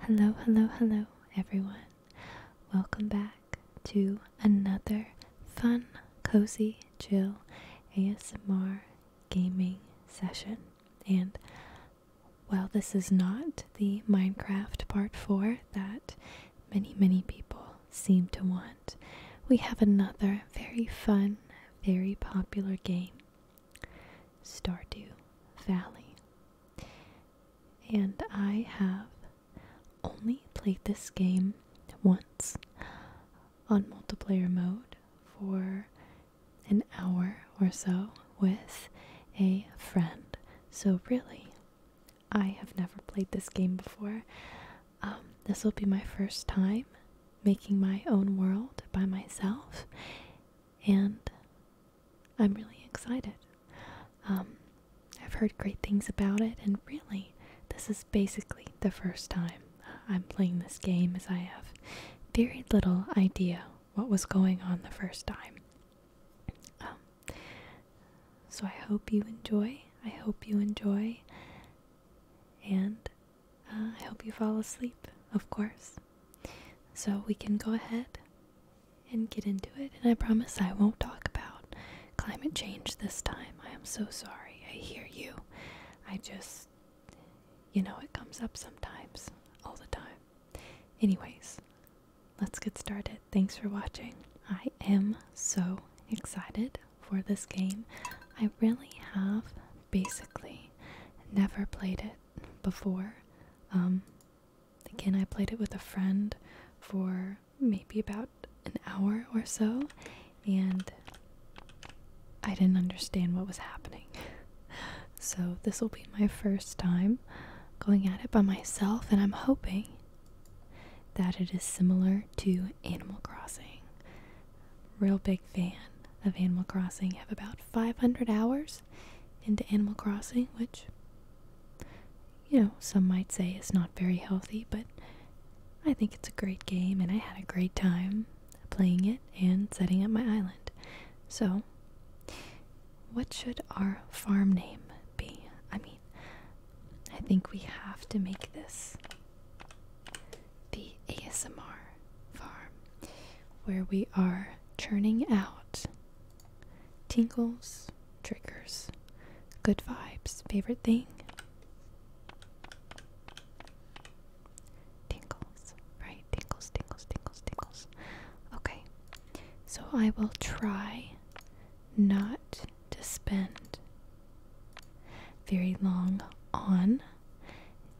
Hello, hello, hello, everyone. Welcome back to another fun, cozy, chill ASMR gaming session. And while this is not the Minecraft Part 4 that many, many people seem to want, we have another very fun, very popular game Stardew Valley. And I have only played this game once on multiplayer mode for an hour or so with a friend. So, really, I have never played this game before. Um, this will be my first time making my own world by myself, and I'm really excited. Um, I've heard great things about it, and really, this is basically the first time I'm playing this game, as I have very little idea what was going on the first time. Um, so I hope you enjoy. I hope you enjoy. And uh, I hope you fall asleep, of course. So we can go ahead and get into it. And I promise I won't talk about climate change this time. I am so sorry. I hear you. I just, you know, it comes up sometimes, all the time. Anyways, let's get started. Thanks for watching. I am so excited for this game. I really have basically never played it before. Um, Again, I played it with a friend for maybe about an hour or so, and I didn't understand what was happening. so, this will be my first time going at it by myself, and I'm hoping that it is similar to Animal Crossing. Real big fan of Animal Crossing. Have about 500 hours into Animal Crossing, which, you know, some might say is not very healthy, but I think it's a great game and I had a great time playing it and setting up my island. So, what should our farm name be? I mean, I think we have to make this the ASMR farm where we are churning out Tinkles, triggers, good vibes, favorite thing. Tingles, right? Tingles, tingles, tingles, tingles. Okay, so I will try not to spend very long on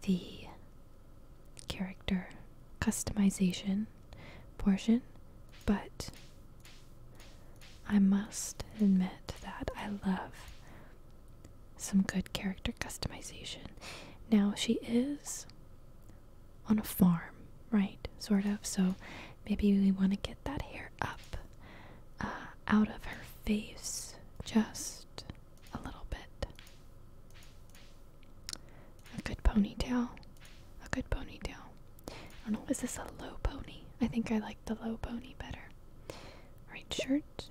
the character customization portion, but I must admit that I love some good character customization. Now, she is on a farm, right? Sort of. So maybe we want to get that hair up uh, out of her face just a little bit. A good ponytail. A good ponytail. I don't know, is this a low pony? I think I like the low pony better. Right shirt.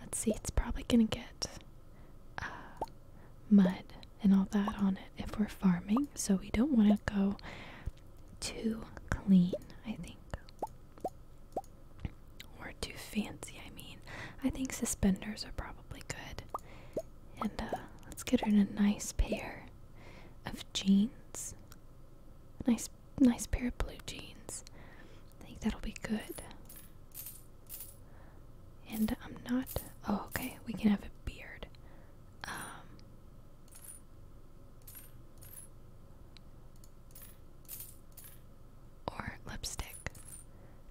Let's see, it's probably gonna get uh, mud and all that on it if we're farming, so we don't want to go too clean, I think or too fancy. I mean, I think suspenders are probably good. And uh, let's get her in a nice pair of jeans. Nice, nice pair of blue jeans. I think that'll be good. And I'm not. Oh, okay. We can have a beard. Um, or lipstick.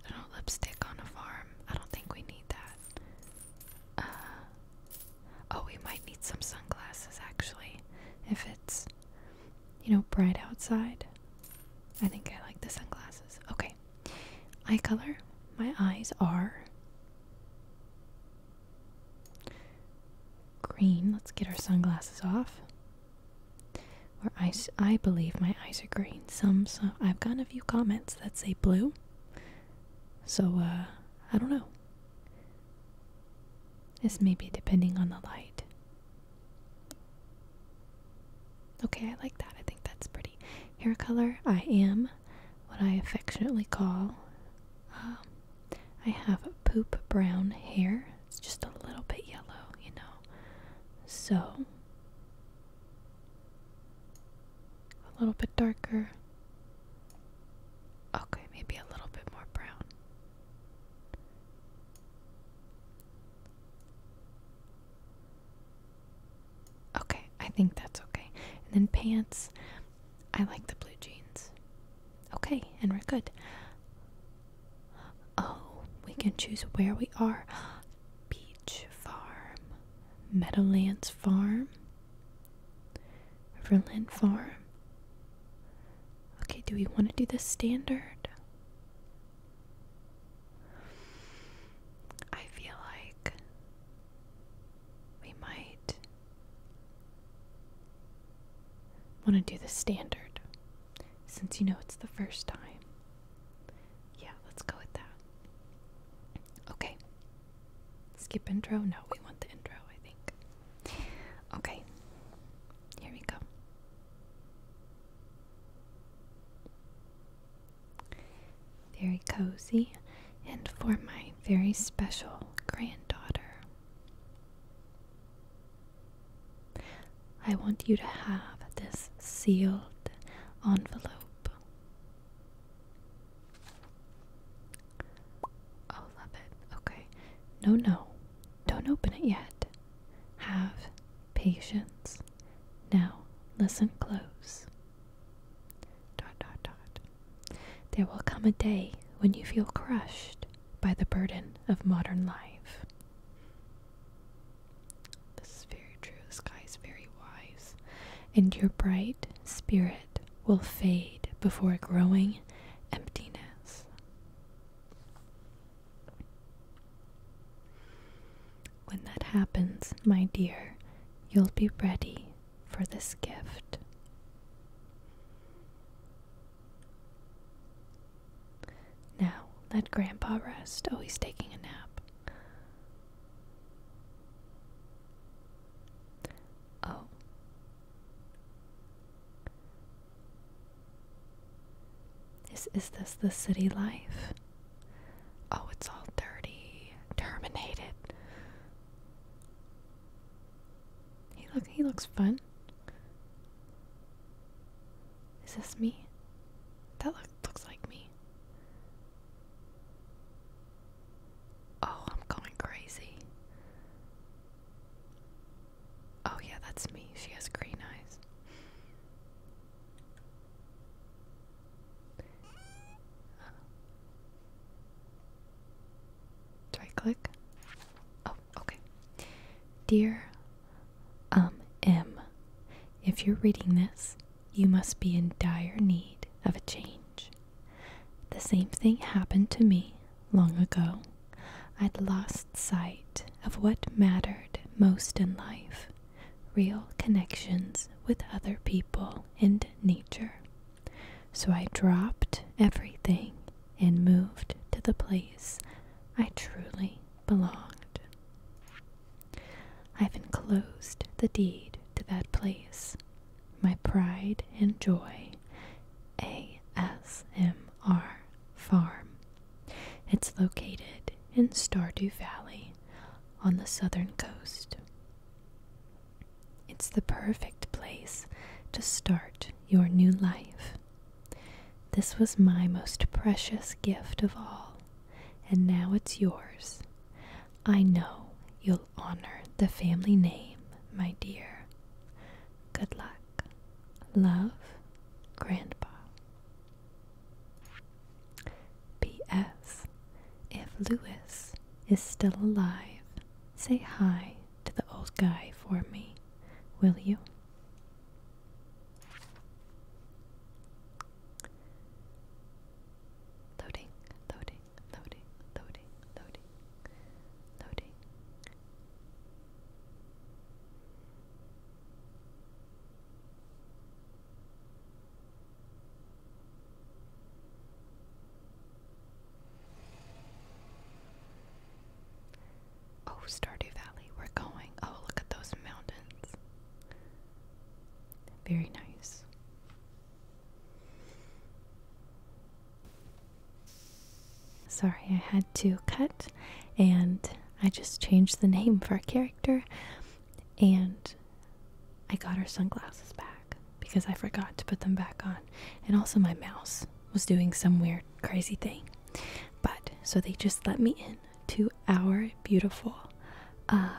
I don't lipstick on a farm. I don't think we need that. Uh, oh, we might need some sunglasses actually. If it's, you know, bright outside. I think I like the sunglasses. Okay. Eye color. My eyes are green. Let's get our sunglasses off. Or eyes, I believe my eyes are green. Some, some, I've gotten a few comments that say blue. So, uh, I don't know. This may be depending on the light. Okay, I like that. I think that's pretty. Hair color, I am what I affectionately call um, I have poop brown hair. It's just a little bit yellow, you know. So, a little bit darker. Okay, maybe a little bit more brown. Okay, I think that's okay. And then pants, I like the blue jeans. Okay, and we're good. Oh, we can choose where we are. Beach Farm, Meadowlands Farm, Riverland Farm. Okay, do we want to do the standard? I feel like we might want to do the standard since you know it's the first time. Yeah, let's go with that. Okay. Skip intro? No, we want the intro, I think. Okay. Here we go. Very cozy, and for my very special granddaughter. I want you to have this sealed envelope. Oh, love it. Okay. No, no. Don't open it yet. Have patience. Now, listen close. Dot, dot, dot. There will come a day when you feel crushed by the burden of modern life. This is very true. This guy is very wise. And your bright spirit will fade before growing emptiness. When that happens, my dear, you'll be ready for this gift. Now, let Grandpa rest. Oh, he's taking a nap. Oh. Is, is this the city life? Oh, it's all dirty. Terminated. He look he looks fun. Is this me? That looks like me. Oh, I'm going crazy. Oh, yeah, that's me. She has green eyes. Do click? Oh, okay. Dear Um M, if you're reading this, you must be in dire need of a change. The same thing happened to me long ago. I'd lost sight of what mattered most in life real connections with other people and nature. So I dropped everything and moved to the place I truly belonged. I've enclosed the deed to that place, my pride and joy, ASMR Farm. It's located in Stardew Valley on the southern coast. It's the perfect place to start your new life this was my most precious gift of all, and now it's yours. I know you'll honor the family name, my dear. Good luck. Love, Grandpa. P.S. If Lewis is still alive, say hi to the old guy for me, will you? Loading, loading, loading, loading, loading, loading. Oh, Stardew Valley, we're going. Oh, look at those mountains. Very nice. Sorry, I had to cut and I just changed the name for our character and I got her sunglasses back because I forgot to put them back on. And also my mouse was doing some weird, crazy thing. But so they just let me in to our beautiful uh,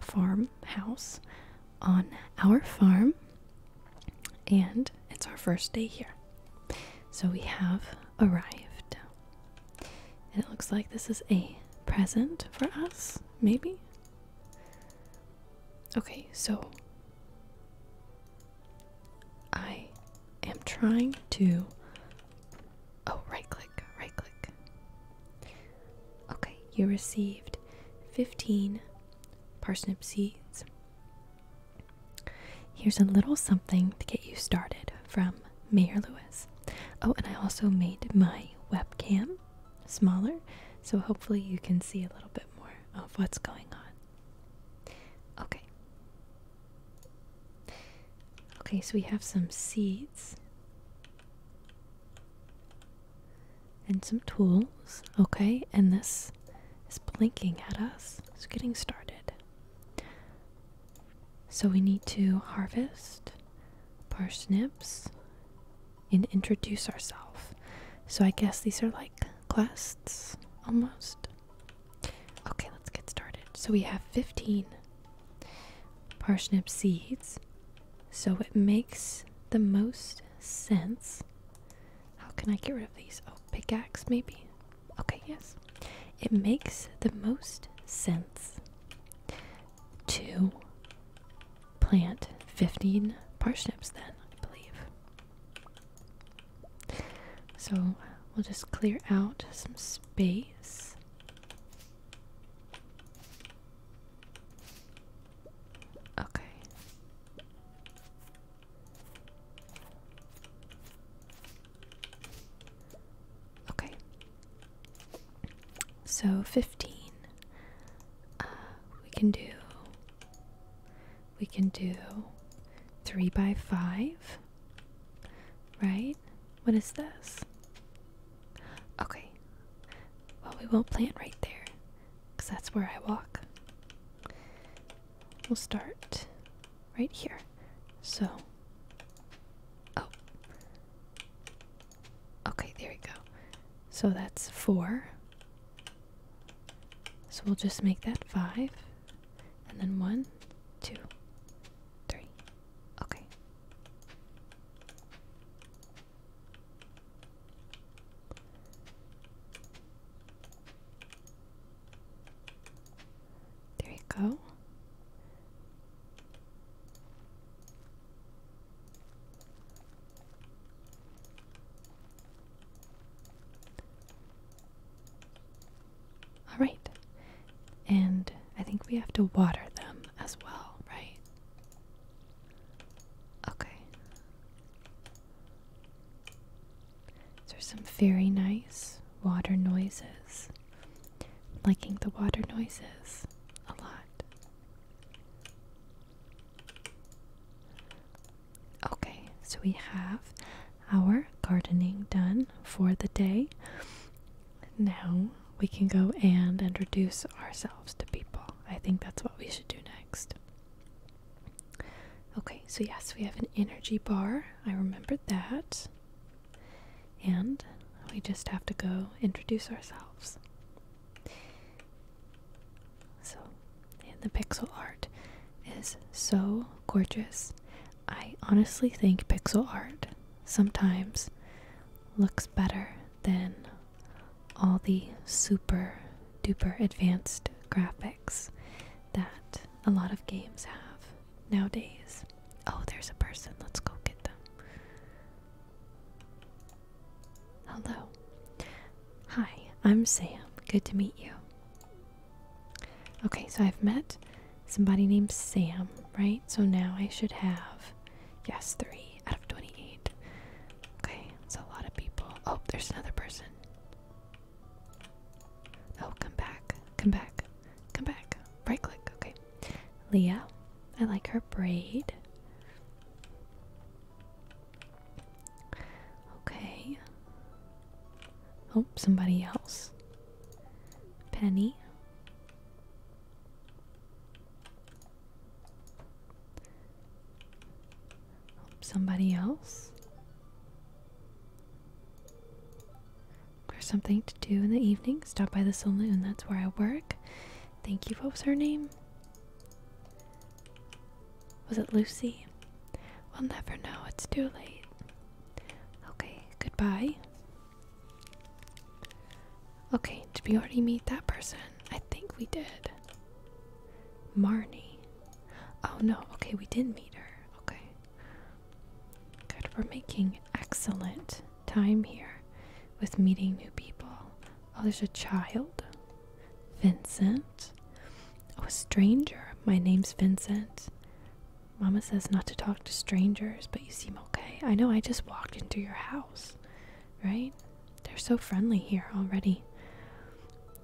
farmhouse on our farm, and it's our first day here. So we have arrived, and it looks like this is a present for us, maybe. Okay, so I am trying to. Oh, right click, right click. Okay, you received 15 parsnip seeds. Here's a little something to get you started from Mayor Lewis. Oh, and I also made my webcam smaller, so hopefully you can see a little bit more of what's going on. Okay, Okay, so we have some seeds and some tools. Okay, and this is blinking at us. It's getting started. So we need to harvest parsnips and introduce ourselves. So I guess these are like quests almost. Okay, let's get started. So we have 15 parsnip seeds. So it makes the most sense. How can I get rid of these? Oh, pickaxe maybe? Okay, yes. It makes the most sense to plant 15 parsnips then, I believe. So we'll just clear out some space. Okay. Okay. So 15. Uh, we can do we can do three by five, right? What is this? Okay. Well, we won't plant right there because that's where I walk. We'll start right here. So, oh, okay, there we go. So that's four. So we'll just make that five and then one, two, three. Okay. There you go. Alright. And I think we have to water them as well, right? Okay. There's some very nice water noises. Liking the water noises a lot. Okay, so we have our gardening done for the day. Now we can go and introduce ourselves to people. I think that's what we should do next. Okay, so yes, we have an energy bar. I remember that. And we just have to go introduce ourselves. So, the pixel art is so gorgeous. I honestly think pixel art sometimes looks better than all the super duper advanced graphics that a lot of games have nowadays. Oh, there's a person. Let's go get them. Hello. Hi, I'm Sam. Good to meet you. Okay, so I've met somebody named Sam, right? So now I should have, yes, three out of 28. Okay, that's a lot of people. Oh, there's another person. Oh, come back, come back, come back. Right click, okay. Leah, I like her braid. Okay. Oh, somebody else. Penny. Oh, somebody else. There's something to do in the evening. Stop by the saloon. That's where I work. Thank you. What was her name? Was it Lucy? We'll never know. It's too late. Okay, goodbye. Okay, did we already meet that person? I think we did. Marnie. Oh no, okay, we did not meet her. Okay. Good, we're making excellent time here with meeting new people. Oh, there's a child. Vincent. Oh, a stranger. My name's Vincent. Mama says not to talk to strangers, but you seem okay. I know I just walked into your house, right? They're so friendly here already.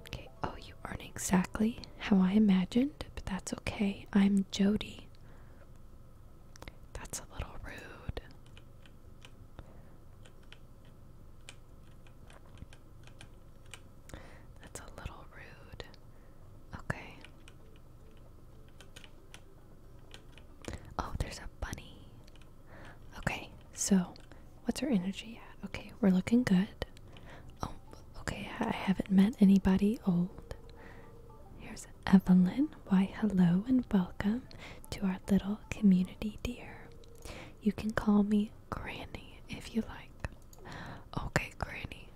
Okay, oh, you aren't exactly how I imagined, but that's okay. I'm Jody. That's a little rude. That's a little rude. Okay. Oh, there's a bunny. Okay, so what's our energy at? Okay, we're looking good. Oh, okay, I haven't met anybody old. Here's Evelyn. Why, hello and welcome to our little community, dear. You can call me Granny if you like. Okay, Granny.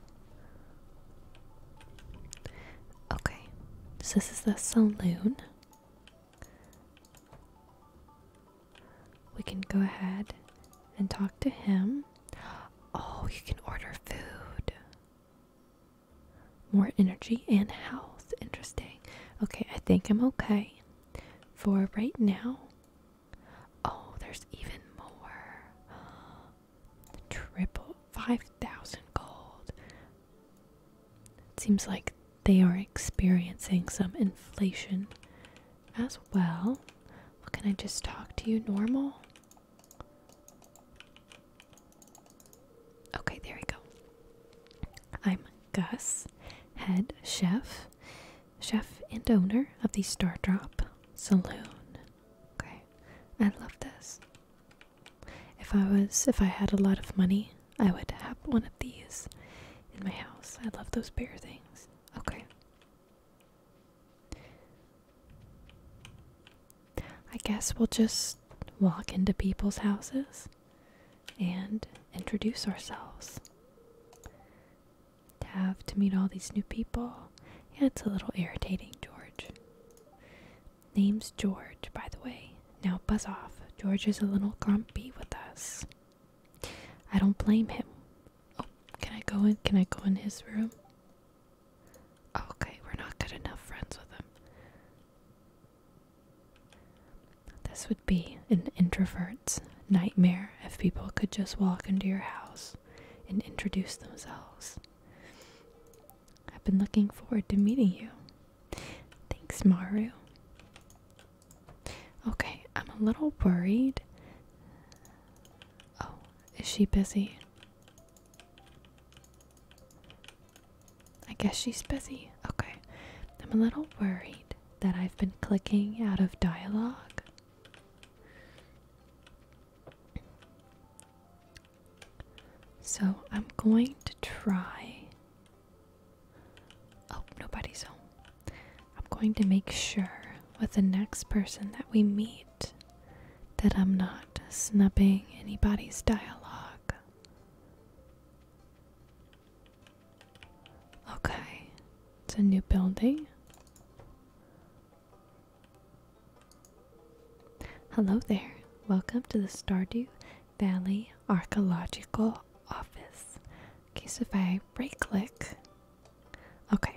Okay, so this is the saloon. We can go ahead and talk to him. Oh, you can order food. More energy and health. Interesting. Okay, I think I'm okay for right now. Oh, there's even more. Triple 5,000 gold. It seems like they are experiencing some inflation as well. Well, can I just talk to you normal? Okay, there we go. I'm Gus, head chef, chef and owner of the Star Drop Saloon. Okay, I love this. If I was, if I had a lot of money, I would have one of these in my house. I love those bear things. Okay. I guess we'll just walk into people's houses and introduce ourselves to have to meet all these new people. Yeah, it's a little irritating, George. Name's George, by the way. Now buzz off. George is a little grumpy with us. I don't blame him. Oh, can I go in? Can I go in his room? Okay, we're not good enough friends with him. This would be an introvert's nightmare if people could just walk into your house and introduce themselves. I've been looking forward to meeting you. Thanks, Maru. Okay, I'm a little worried. Oh, is she busy? I guess she's busy. Okay. I'm a little worried that I've been clicking out of dialogue. So I'm going to try. Oh, nobody's home. I'm going to make sure with the next person that we meet that I'm not snubbing anybody's dialogue. Okay, it's a new building. Hello there. Welcome to the Stardew Valley Archaeological Office. Okay, so if I right click. Okay,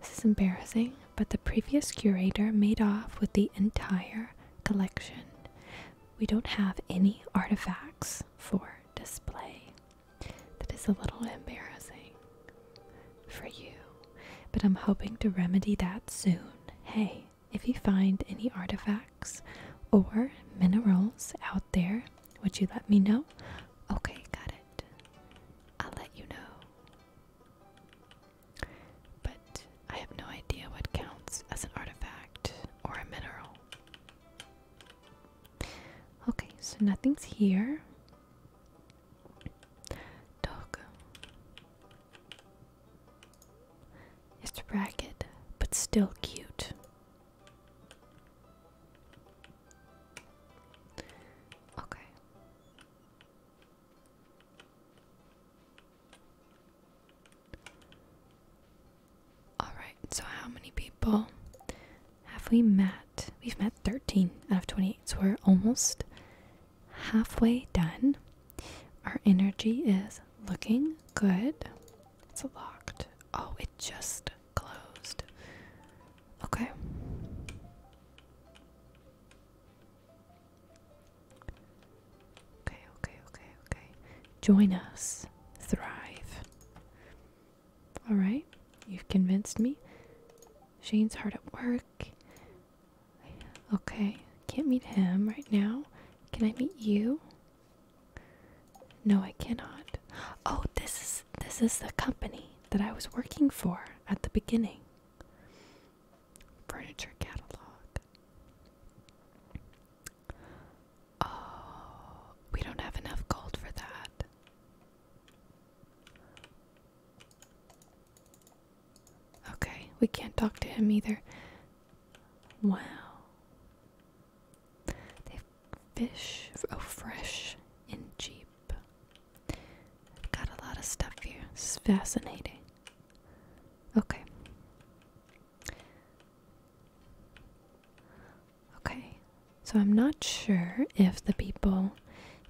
this is embarrassing, but the previous curator made off with the entire collection. We don't have any artifacts for display. That is a little embarrassing for you but I'm hoping to remedy that soon. Hey, if you find any artifacts or minerals out there, would you let me know? Okay, got it. I'll let you know. But I have no idea what counts as an artifact or a mineral. Okay, so nothing's here. Dog. It's ragged, but still cute. Okay. Alright, so how many people have we met? We've met 13 out of 28, so we're almost halfway done. Our energy is looking good. It's locked. Oh, it just closed. Okay. Okay, okay, okay, Join us. Thrive. Alright, you've convinced me. Shane's hard at work. Okay, can't meet him right now. Can I meet you? No, I cannot. Oh, this is this is the company that I was working for at the beginning. Furniture catalog. Oh, we don't have enough gold for that. Okay, we can't talk to him either. Wow. They fish, oh, fresh and cheap. I've got a lot of stuff here. This is fascinating. Okay. Okay, so I'm not sure if the people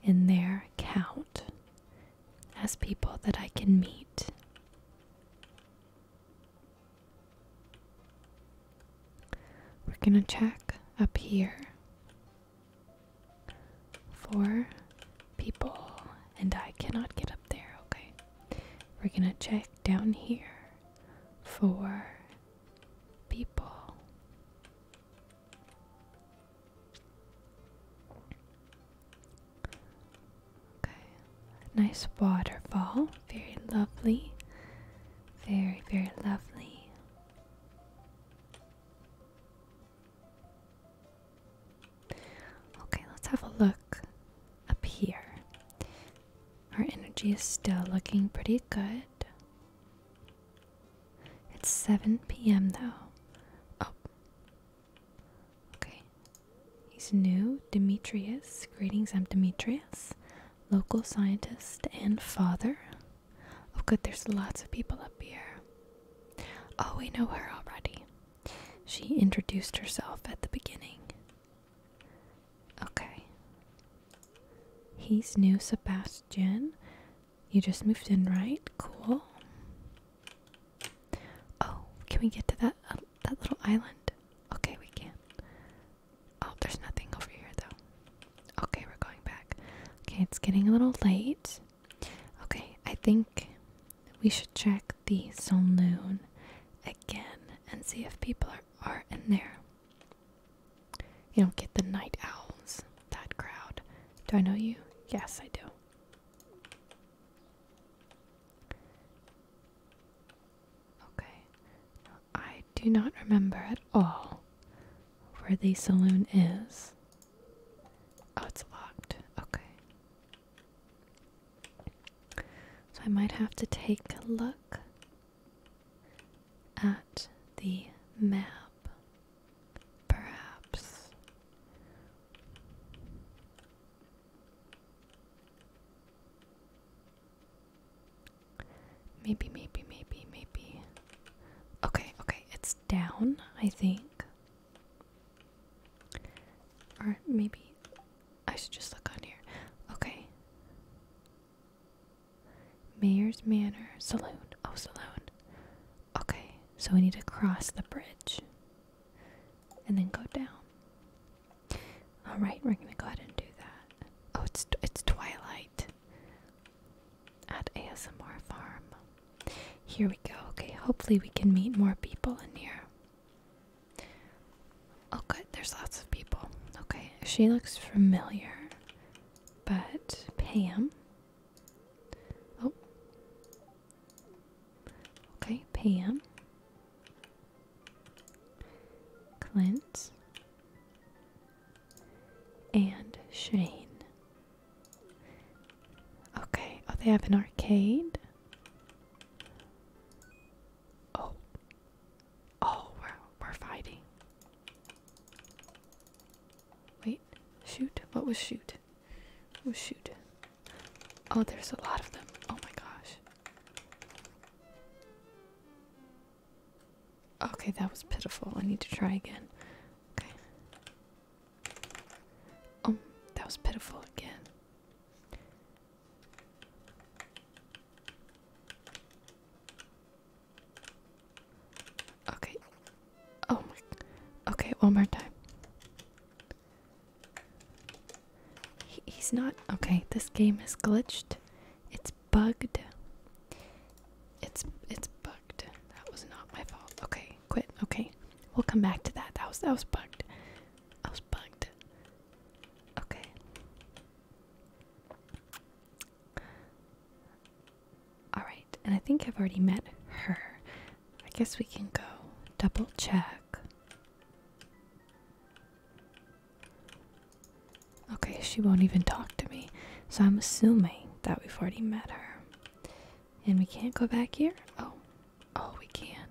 in there count as people that I can meet. We're going to check up here for people, and I cannot get up there, okay? We're going to check down here for people. Okay, nice waterfall, very lovely, very, very lovely. Okay, let's have a look up here. Our energy is still looking pretty good. It's 7 p.m. though. Oh. Okay. He's new. Demetrius. Greetings, I'm Demetrius. Local scientist and father. Oh, good, there's lots of people up here. Oh, we know her already. She introduced herself at the beginning. Okay. He's new, Sebastian. You just moved in, right? Cool. Oh, can we get to that um, that little island? Okay, we can. Oh, there's nothing over here though. Okay, we're going back. Okay, it's getting a little late. Okay, I think we should check the saloon again and see if people are, are in there. You know, get the night owls that crowd. Do I know you? Yes, I do. Okay. I do not remember at all where the saloon is. Oh, it's locked. Okay. So I might have to take a look at the map. Perhaps. Maybe, maybe, maybe, maybe. Okay, okay, it's down, I think. Or maybe I should just look on here. Okay. Mayor's Manor Saloon. Oh, Saloon. Okay, so we need to cross the bridge and then go down. All right, we're gonna go ahead and do that. Oh, it's it's twilight at ASMR Farm. Here we go. Okay, hopefully we can meet more people in here. Oh, good. There's lots of people. Okay, she looks familiar, but Pam. Oh. Okay, Pam. Clint. And Shane. Okay, oh, they have an arcade. Oh. Oh, we're, we're fighting. Wait, shoot? What was shoot? What was shoot? Oh, there's a lot of them. Oh my gosh. Okay, that was pitiful. I need to try again. Okay. Um, that was pitiful again. Okay. Oh Okay, one more time. he's not. Okay, this game is glitched. It's bugged. It's it's bugged. That was not my fault. Okay, quit. Okay, we'll come back to that. That was that was bugged. I was bugged. Okay. Alright, and I think I've already met her. I guess we can go double check. Okay, she won't even talk to me. So I'm assuming that we've already met her. And we can't go back here? Oh. Oh, we can.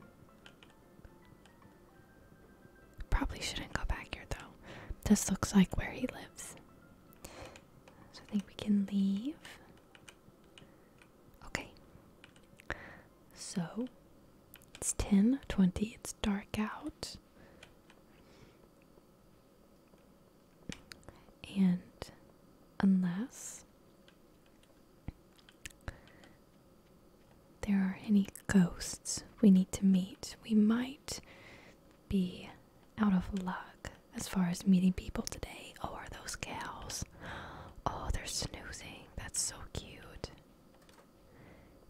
Probably shouldn't go back here though. This looks like where he lives. So I think we can leave. Okay. So it's 10 20, it's dark out. And unless there are any ghosts we need to meet, we might be out of luck as far as meeting people today. Oh, are those cows? Oh, they're snoozing. That's so cute.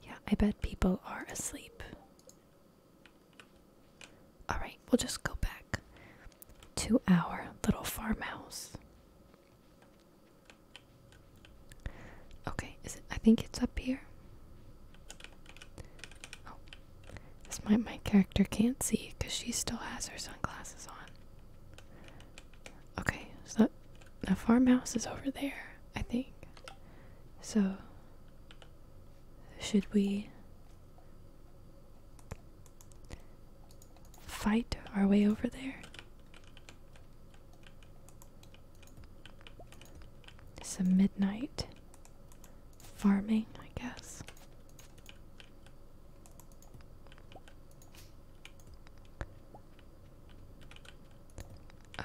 Yeah, I bet people are asleep. Alright, we'll just go back to our little farmhouse. Okay, is it I think it's up here. Oh, this my my character can't see because she still has her sunglasses on. Okay, so a the farmhouse is over there, I think. So should we fight our way over there? Some midnight farming, I guess.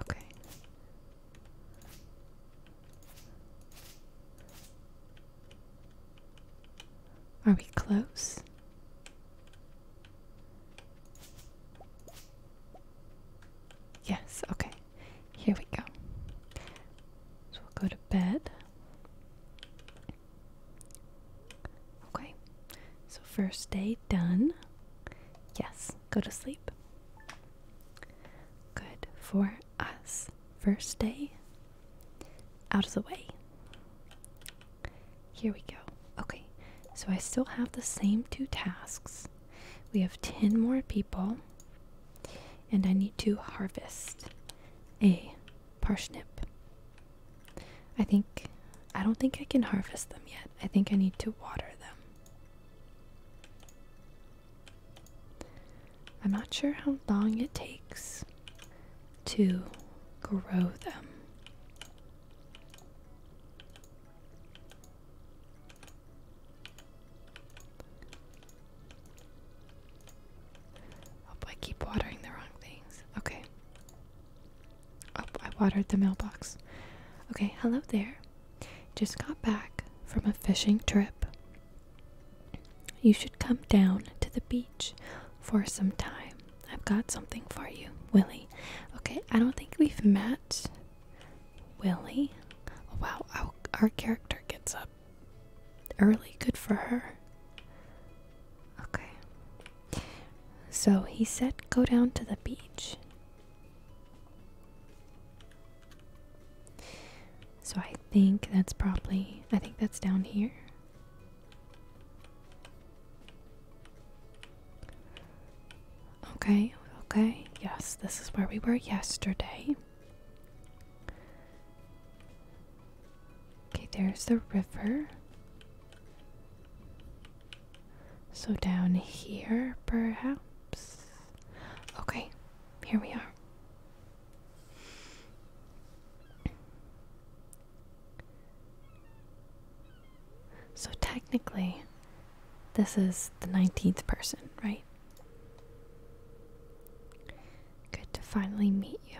Okay. Are we close? Yes, okay. Here we go. So we'll go to bed. Okay, so first day done. Yes, go to sleep. Good for us. First day out of the way. Here we go. Okay, so I still have the same two tasks. We have 10 more people and I need to harvest a parsnip. I think I don't think I can harvest them yet. I think I need to water them. I'm not sure how long it takes to grow them. Hope I keep watering the wrong things. Okay. Oh, I watered the mailbox. Okay, hello there. Just got back from a fishing trip. You should come down to the beach for some time. I've got something for you, Willie. Okay, I don't think we've met Willie. Oh, wow, our, character gets up early. Good for her. Okay. So he said go down to the beach. So I think that's probably, I think that's down here. Okay, okay. Yes, this is where we were yesterday. Okay, there's the river. So down here, perhaps? Okay, here we are. So technically, this is the 19th person, right? Good to finally meet you.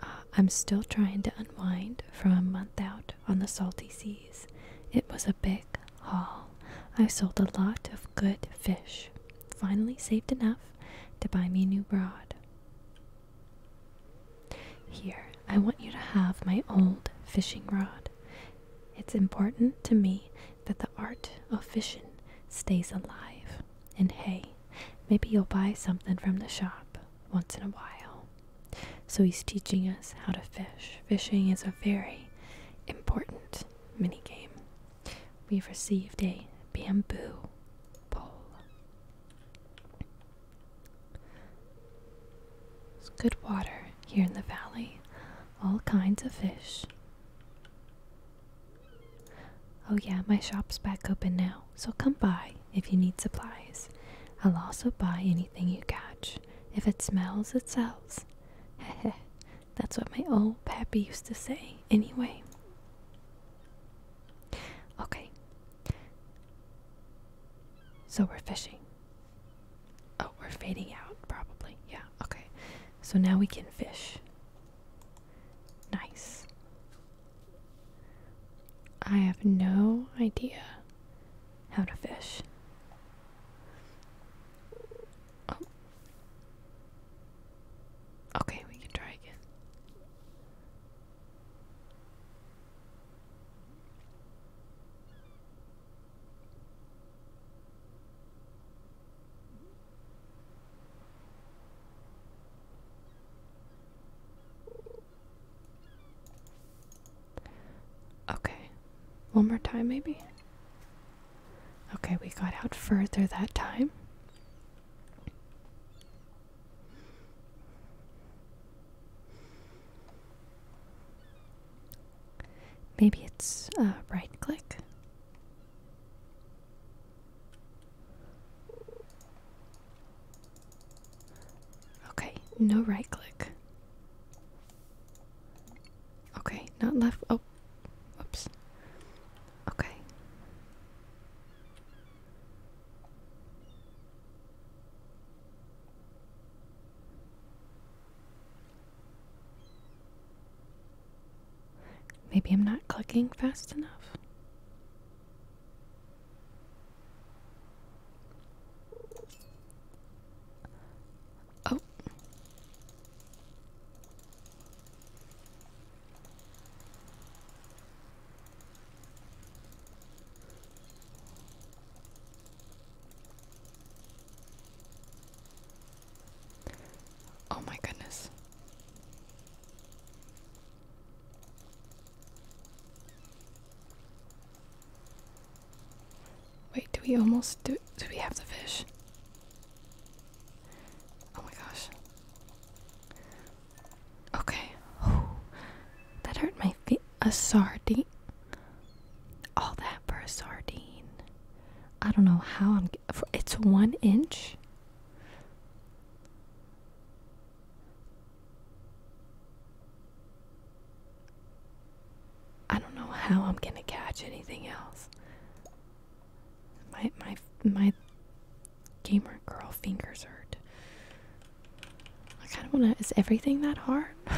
Uh, I'm still trying to unwind from a month out on the salty seas. It was a big haul. I sold a lot of good fish. Finally saved enough to buy me a new rod. Here, I want you to have my old fishing rod. It's important to me that the art of fishing stays alive. And hey, maybe you'll buy something from the shop once in a while. So he's teaching us how to fish. Fishing is a very important mini game. We've received a bamboo pole. It's good water here in the valley all kinds of fish. Oh, yeah, my shop's back open now, so come by if you need supplies. I'll also buy anything you catch. If it smells, it sells. Heh that's what my old pappy used to say, anyway. Okay. So we're fishing. Oh, we're fading out, probably. Yeah, okay. So now we can fish. Nice. I have no idea how to fish. Oh. Okay, we can try again. Okay. One more time, maybe? Okay, we got out further that time. Maybe it's a right click. Okay, no right click. Okay, not left. Oh, oops. Okay. Maybe I'm not clicking fast enough. Oh. Oh my goodness. Wait, do we almost do do we have the fish? Oh my gosh. Okay. that hurt my feet. A sardine. All that for a sardine. I don't know how I'm. It's one inch. I don't know how I'm gonna catch anything else. My my my gamer girl fingers hurt. I kind of wanna. Is everything that hard?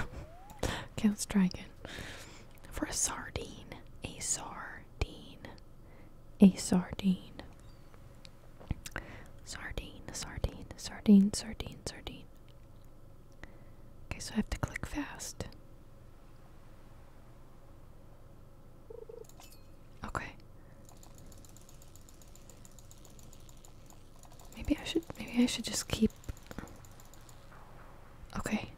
okay, let's try again for a sardine. A sardine. A sardine. Sardine, sardine, sardine, sardine, sardine. Okay, so I have to click fast. Okay. Maybe I should maybe I should just keep Okay.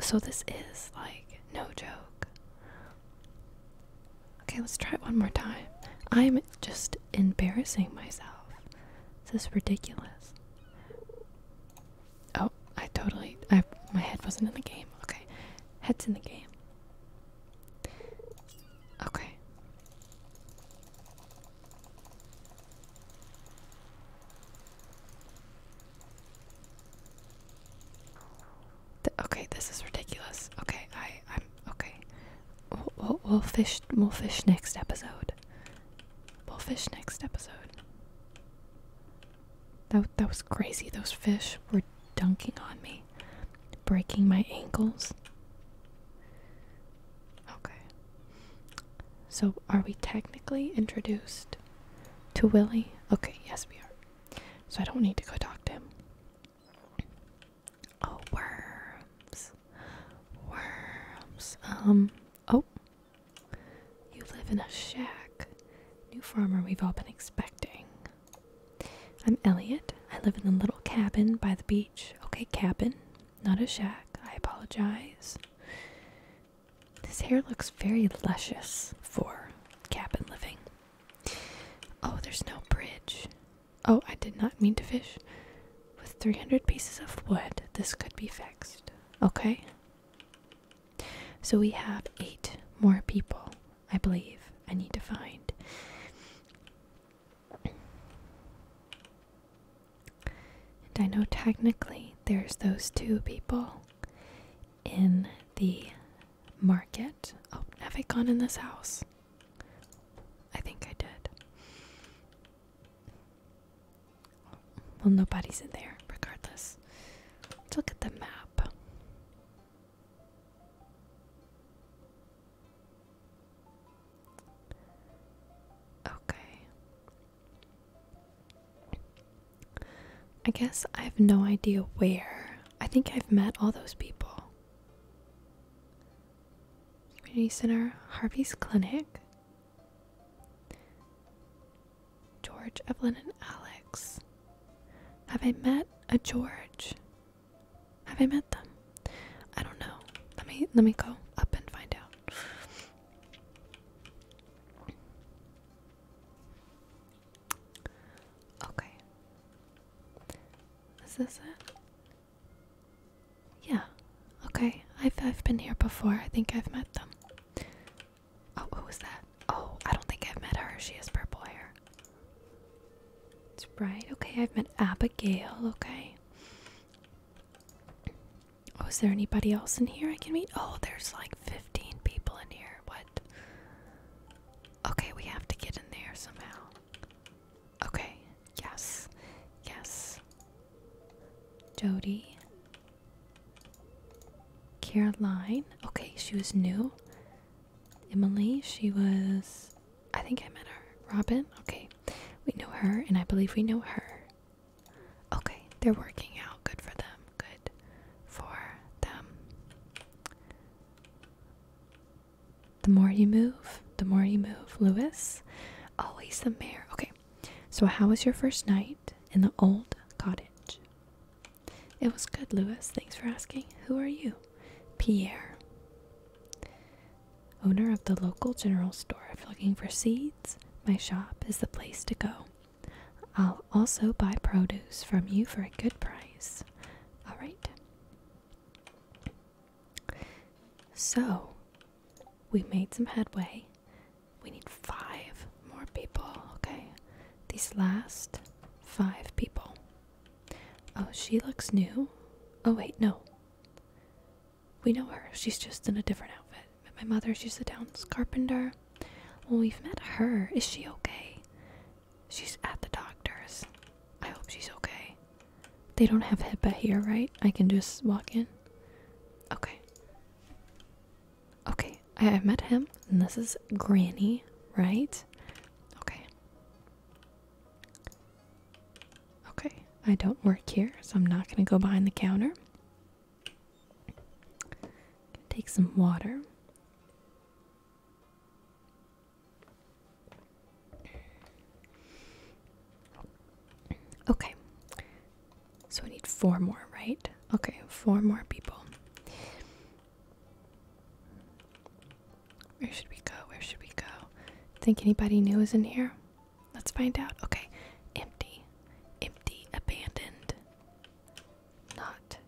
So this is like no joke. Okay, let's try it one more time. I'm just embarrassing myself. This is ridiculous. Oh, I totally I my head wasn't in the game. Okay. Head's in the game. Okay okay, this is ridiculous. Okay, I, I'm okay. We'll, we'll, we'll fish. We'll fish next episode. We'll fish next episode. That that was crazy. Those fish were dunking on me, breaking my ankles. Okay. So, are we technically introduced to Willie? Okay, yes, we are. So, I don't need to go talk to him. Oh, worms. Worms. Um, oh. You live in a shack. New farmer we've all been expecting. I'm Elliot. I live in a little cabin by the beach. Okay, cabin not a shack. I apologize. His hair looks very luscious for cabin living. Oh, there's no bridge. Oh, I did not mean to fish. With 300 pieces of wood, this could be fixed. Okay? So we have eight more people, I believe, I need to find. And I know technically there's those two people in the market. Oh, have I gone in this house? I think I did. Well, nobody's in there, regardless. Let's look at the map. Okay. I guess I have no idea where. I think I've met all those people. Community Center, Harvey's Clinic, George, Evelyn, and Alex. Have I met a George? Have I met them? I don't know. Let me let me go up and find out. Okay. Is this it? Yeah. Okay. I've I've been here before. I think I've met them. Oh, who was that? Oh, I don't think I've met her. She is purple hair. It's right. Okay, I've met Abigail. Okay. Was oh, there anybody else in here I can meet? Oh, there's like 15 people in here. What? Okay, we have to get in there somehow. Okay, yes, yes. Jody. Caroline. Okay, she was new. Emily, she was. I think I met her. Robin. Okay, we know her, and I believe we know her. Okay, they're working out. Good for them. Good for them. The more you move, the more you move. Lewis, always the mayor. Okay, so how was your first night in the old cottage? It was good, Lewis. Thanks for asking. Who are you? Pierre, owner of the local general store. If you're looking for seeds, my shop is the place to go. I'll also buy produce from you for a good price. All right. So, we made some headway. We need five more people, okay? These last five people. Oh, she looks new. Oh, wait, no. We know her. She's just in a different outfit. my mother. She's the town's carpenter. Well, we've met her. Is she okay? She's at the doctor's. I hope she's okay. They don't have HIPAA here, right? I can just walk in. Okay. Okay, I, I met him, and this is Granny, right? Okay. Okay, I don't work here, so I'm not gonna go behind the counter. Take some water. Okay, so I need four more, right? Okay, four more people. Where should we go? Where should we go? Think anybody new is in here? Let's find out. Okay. Empty. Empty. Abandoned. Not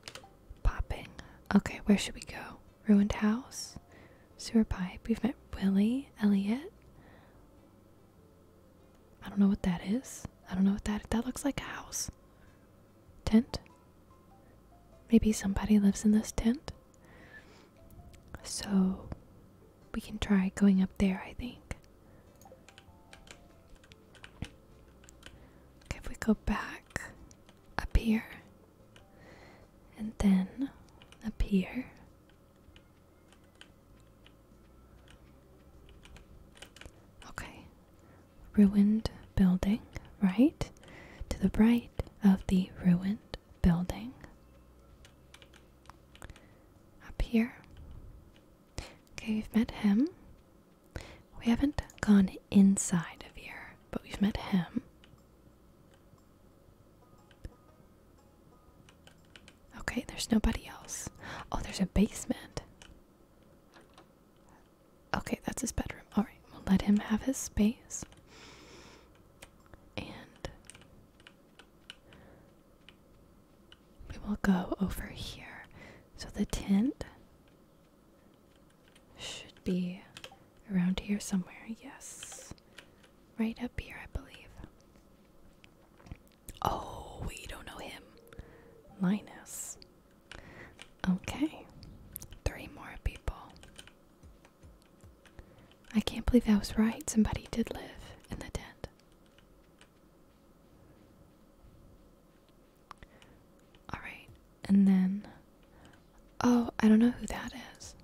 popping. Okay, where should we go? Ruined house? Sewer pipe. We've met Willie, Elliot. I don't know what that is. I don't know what that that looks like a house. Tent? Maybe somebody lives in this tent. So we can try going up there, I think. if we go back up here and then up here. Okay, ruined building, right? To the right of the ruined building. Up here. Okay, we've met him. We haven't gone inside of here, but we've met him. Okay, there's nobody else. Oh, there's a basement. Okay, that's his bedroom. Alright, we'll let him have his space. And we will go over here. So the tent should be around here somewhere. Yes. Right up here, I believe. Oh, we don't know him. Linus. Okay. Three more people. I can't believe I was right. Somebody did live in the tent. Alright, and then. Oh, I don't know who that is.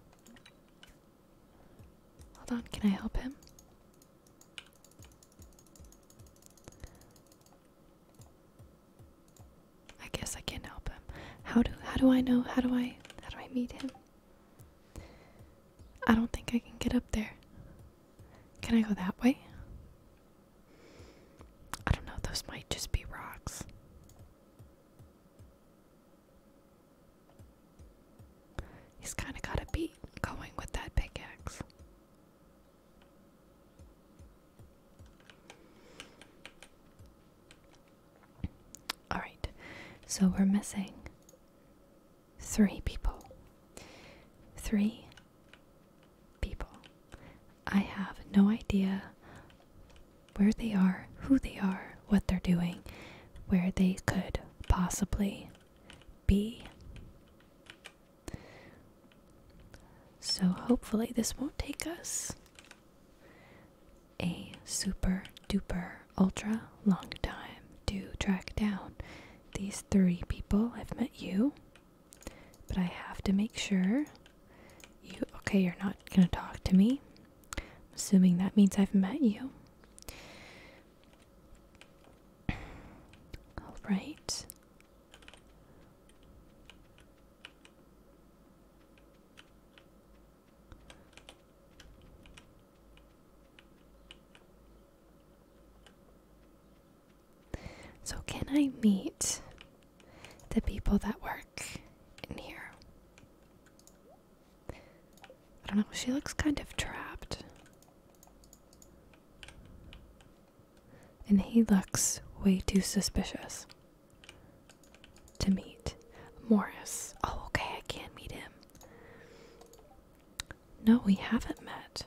Hold on, can I help him? I guess I can not help him. How do how do I know? How do I how do I meet him? I don't think I can get up there. Can I go that way? I don't know, those might just be rocks. He's kind of got a beat going with that pickaxe. Alright, so we're missing three people. Three people. I have no idea where they are, who they are, what they're doing, where they could possibly be. So hopefully, this won't take us a super duper ultra long time to track down these three people. I've met you, but I have to make sure you. Okay, you're not gonna talk to me. assuming that means I've met you. All right. So, can I meet the people that work in here? I don't know, she looks kind of trapped. And he looks way too suspicious to meet Morris. Oh, okay, I can meet him. No, we haven't met.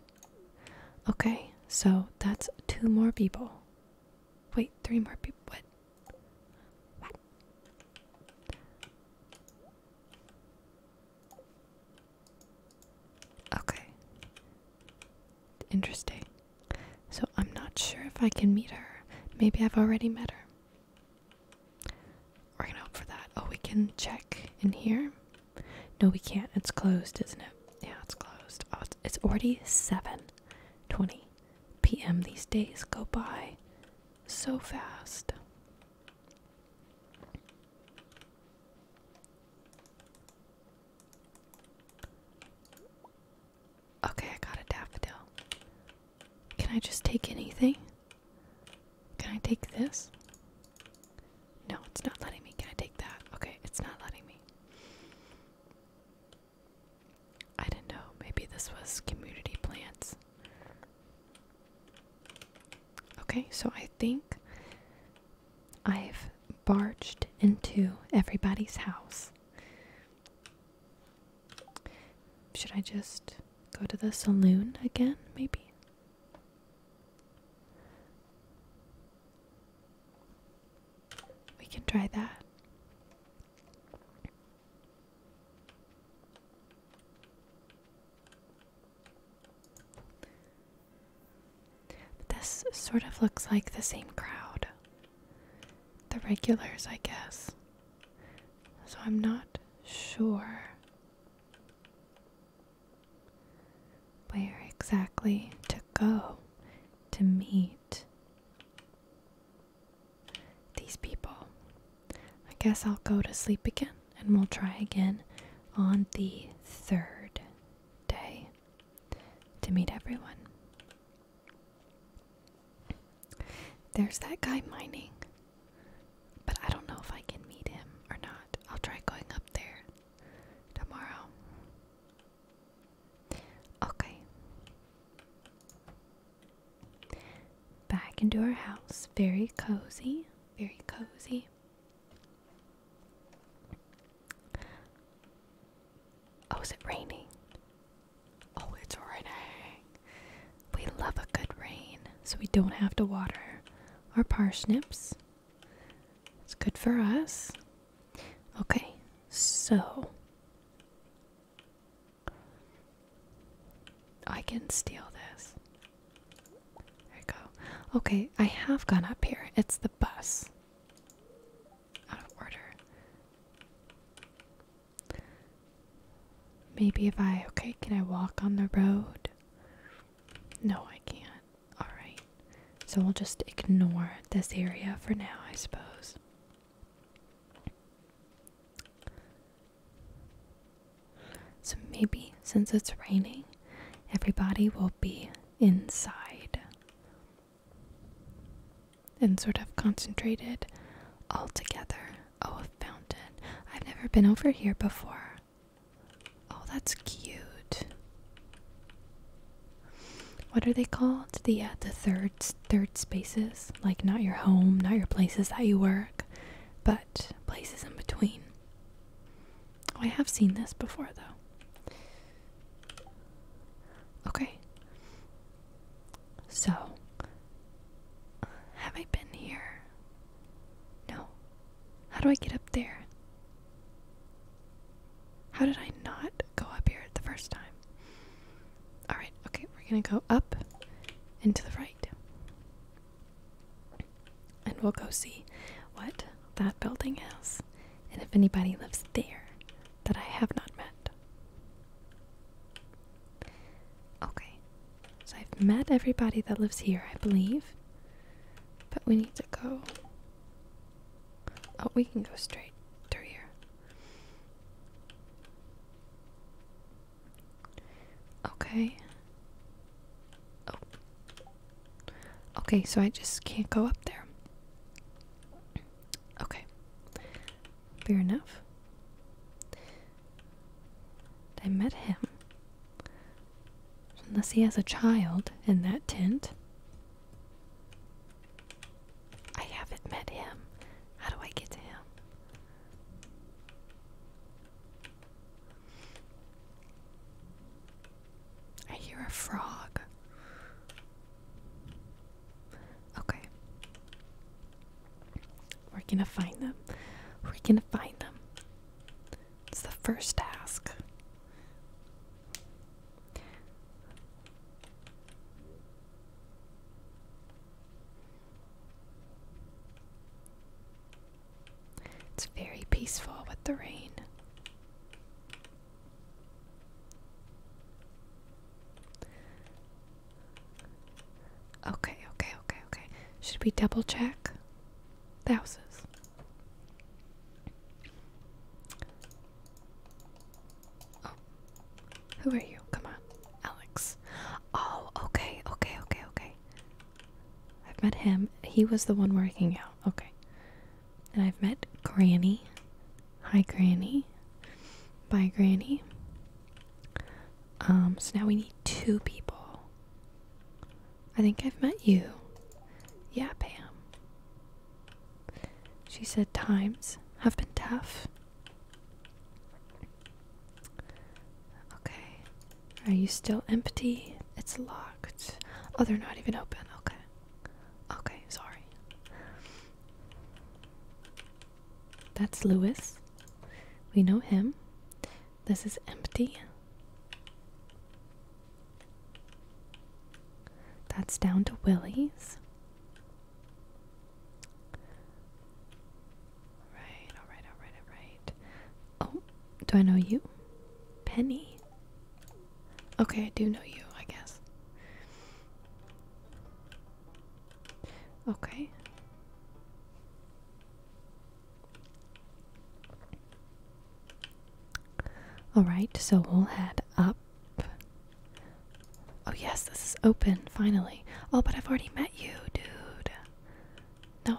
Okay, so that's two more people. Wait, three more people. What? Okay. Interesting. So I'm not sure if I can meet her. Maybe I've already met her. We're gonna hope for that. Oh, we can check in here. No, we can't. It's closed, isn't it? Yeah, it's closed. Oh, it's, it's already 7:20 p.m. These days go by so fast. Okay, I got a daffodil. Can I just take anything? Can I take this? No, it's not letting me. Can I take that? Okay, it's not letting me. I didn't know. Maybe this was community plants. Okay, so I think I've barged into everybody's house. Should I just go to the saloon again, maybe? We can try that. This sort of looks like the same crowd. The regulars, I guess. So I'm not sure where exactly to go to meet these people? I guess I'll go to sleep again and we'll try again on the third day to meet everyone. There's that guy mining. But I don't know if I can meet him or not. I'll try going up there tomorrow. Okay. Back into our house. Very cozy. Very cozy. Oh, is it raining? Oh, it's raining. We love a good rain so we don't have to water our parsnips. It's good for us. Okay, so I can steal this. There you go. Okay, I have gone up here. It's the bus. Out of order. Maybe if I. Okay, can I walk on the road? No, I can't. Alright. So we'll just ignore this area for now, I suppose. So maybe since it's raining, everybody will be inside and sort of concentrated all together. Oh, a fountain. I've never been over here before. Oh, that's cute. What are they called? The uh, the third third spaces, like not your home, not your places that you work, but places in between. Oh, I have seen this before though. Okay. So, have I been here? No. How do I get up there? How did I not go up here the first time? Alright, okay, we're gonna go up and to the right. And we'll go see what that building is and if anybody lives there that I have not met. Okay, so I've met everybody that lives here, I believe. But we need to go. Oh, we can go straight through here. Okay. Oh. Okay, so I just can't go up there. Okay. Fair enough. I met him. Unless he has a child in that tent. I haven't met him. How do I get to him? I hear a frog. Okay. We're gonna find them. We're gonna find them. It's the first task. It's very peaceful with the rain. Okay, okay, okay, okay. Should we double check? The houses. Oh. Who are you? Come on. Alex. Oh, okay, okay, okay, okay. I've met him. He was the one working out. Okay. And I've met Granny. Hi, Granny. Bye, Granny. Um, so now we need two people. I think I've met you. Yeah, Pam. She said, Times have been tough. Okay. Are you still empty? It's locked. Oh, they're not even open. Okay. Okay, sorry. That's Lewis. We know him. This is empty. That's down to Willie's. Alright, alright, alright, alright. Oh, do I know you? Penny. Okay, I do know you, I guess. Okay. Alright, so we'll head up. Oh, yes, this is open, finally. Oh, but I've already met you, dude. No.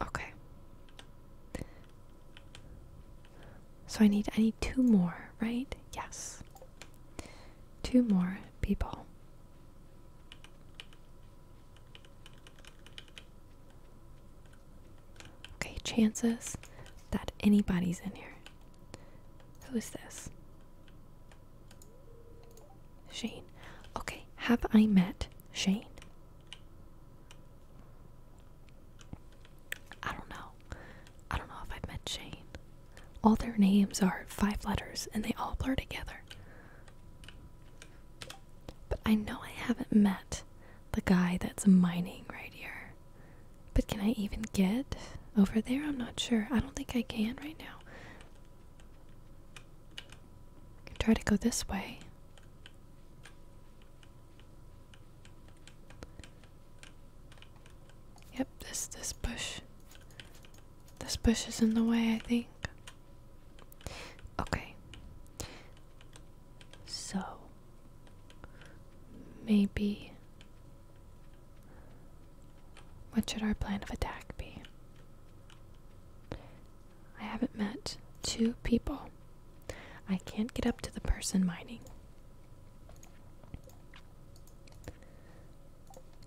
Okay. So I need I need two more, right? Yes. Two more people. Okay, chances that anybody's in here. Who is this? Shane. Okay, have I met Shane? I don't know. I don't know if I've met Shane. All their names are five letters and they all blur together. But I know I haven't met the guy that's mining right here. But can I even get over there? I'm not sure. I don't think I can right now. try to go this way. Yep, this this bush. This bush is in the way, I think. Okay. So, maybe. What should our plan of attack be? I haven't met two people. I can't get up to the person mining.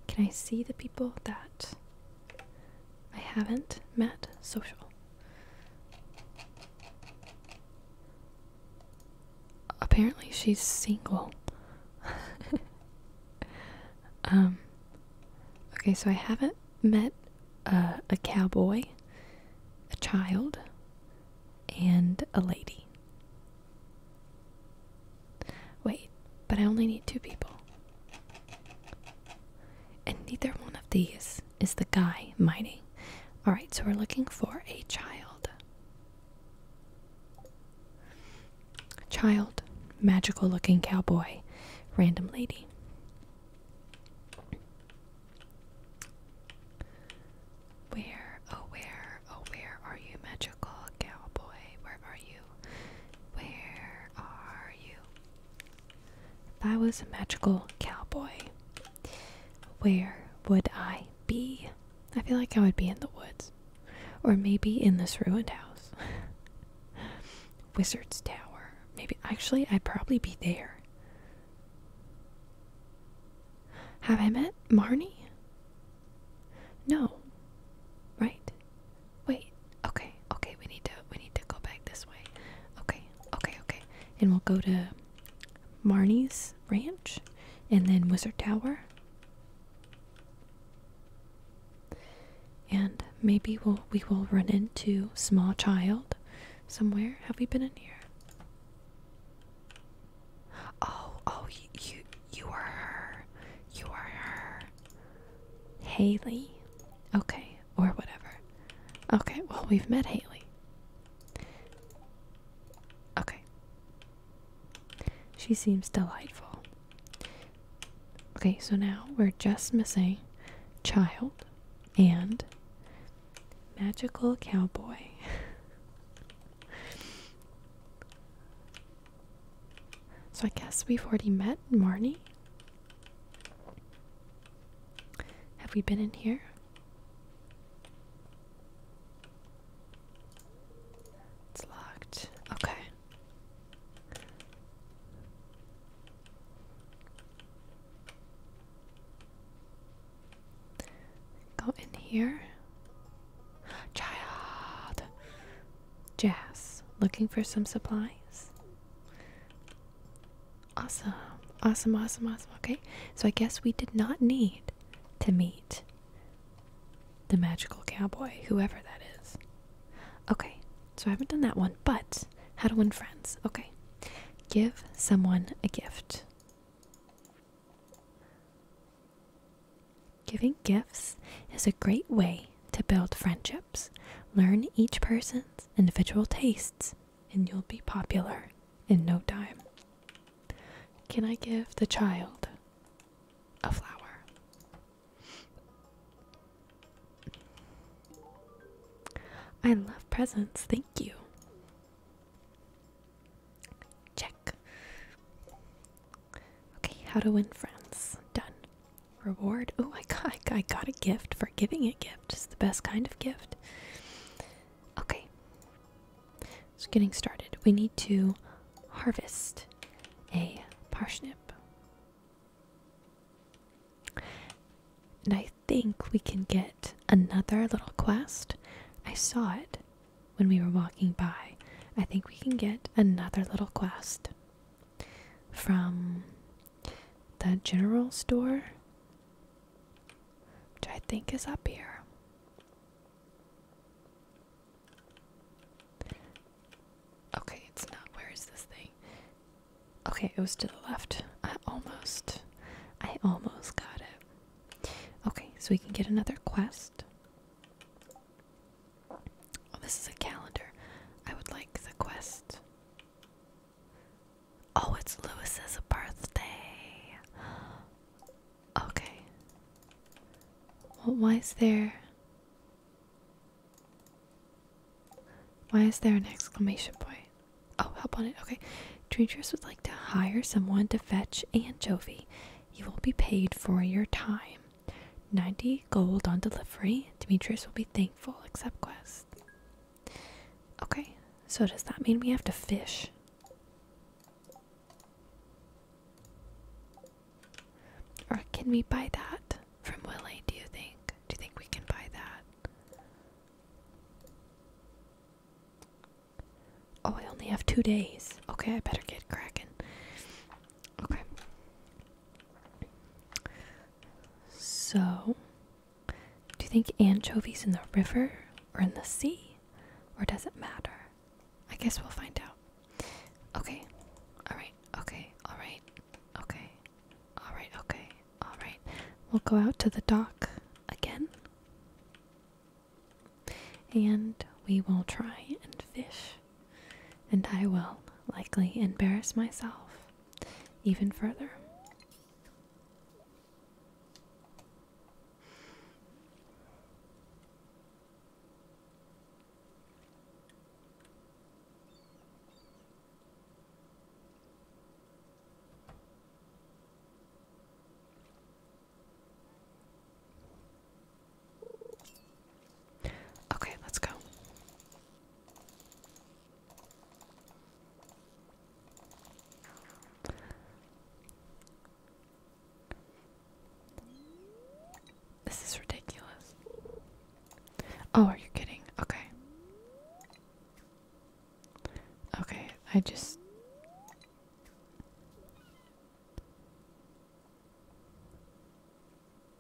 Can I see the people that I haven't met social. Apparently, she's single. um, okay, so I haven't met uh, a cowboy, a child, and a lady. Wait, but I only need two people. And neither one of these is the guy mining. Alright, so we're looking for a child. Child, magical looking cowboy, random lady. Where, oh, where, oh, where are you, magical cowboy? Where are you? Where are you? If I was a magical cowboy, where would I be? I feel like I would be in the woods. Or maybe in this ruined house. Wizard's Tower. Maybe, actually, I'd probably be there. Have I met Marnie? No. Right. Wait. Okay. Okay. We need to. We need to go back this way. Okay. Okay. Okay. And we'll go to Marnie's Ranch, and then Wizard Tower, and maybe we'll we will run into Small Child somewhere. Have we been in here? Oh. Oh. You. You, you are her. You are her. Haley. Okay, or whatever. Okay, well, we've met Haley. Okay. She seems delightful. Okay, so now we're just missing child and magical cowboy. So I guess we've already met Marnie. Have we been in here? It's locked. Okay. Go in here. Child. Jazz, looking for some supplies. Awesome, awesome, awesome, awesome. Okay, so I guess we did not need to meet the magical cowboy, whoever that is. Okay, so I haven't done that one, but how to win friends. Okay, give someone a gift. Giving gifts is a great way to build friendship. Learn each person's individual tastes, and you'll be popular in no time. Can I give the child a flower? I love presents, thank you. Check. Okay, how to win friends. Done. Reward. Oh, I got, I got a gift for giving a gift. It's the best kind of gift. Okay. So, getting started, we need to harvest a parsnip. And I think we can get another little quest. I saw it when we were walking by. I think we can get another little quest from the general store, which I think is up here. Okay, it's not. Where is this thing? Okay, it was to the left. I almost, I almost got it. Okay, so we can get another quest. Oh, this is a calendar. I would like the quest. Oh, it's Lewis's birthday. Okay. why is there. Why is there an exclamation point? Oh, help on it. Okay. Demetrius would like to hire someone to fetch Aunt Jovi. You will be paid for your time. 90 gold on delivery. Demetrius will be thankful. Accept quest. Okay, so does that mean we have to fish? Or can we buy that from Willie, do you think? Do you think we can buy that? Oh, I only have two days. Okay, I better get cracking. Okay. So, do you think anchovies in the river or in the sea? Or does it matter? I guess we'll find out. Okay. Alright. Okay. Alright. Okay. Alright. Okay. Alright. We'll go out to the dock again. And we will try and fish and I will likely embarrass myself even further. Okay, let's go. This is ridiculous. Oh, are you kidding? Okay. Okay, I just.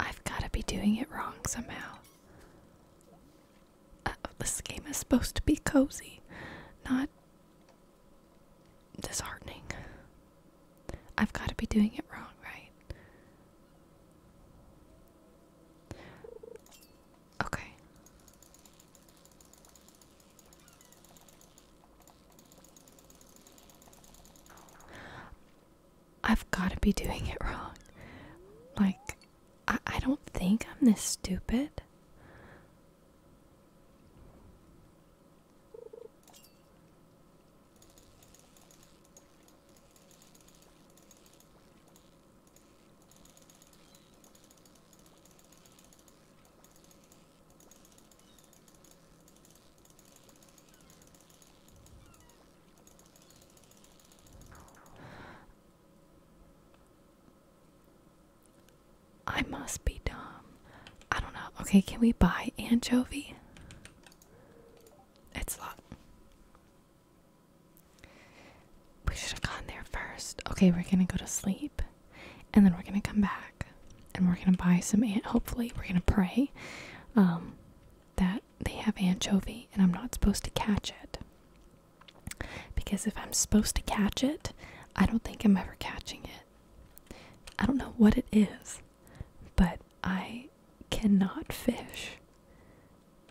I've got to be doing it wrong somehow. Uh, this game is supposed to be cozy, not disheartening. I've got to be doing it wrong, right? Okay. I've got to be doing it wrong. Like, I, don't think I'm this stupid. I must be dumb. I don't know. Okay, can we buy anchovy? It's a We should have gone there first. Okay, we're gonna go to sleep and then we're gonna come back and we're gonna buy some ant hopefully we're gonna pray. Um that they have anchovy and I'm not supposed to catch it. Because if I'm supposed to catch it, I don't think I'm ever catching it. I don't know what it is, but I cannot fish.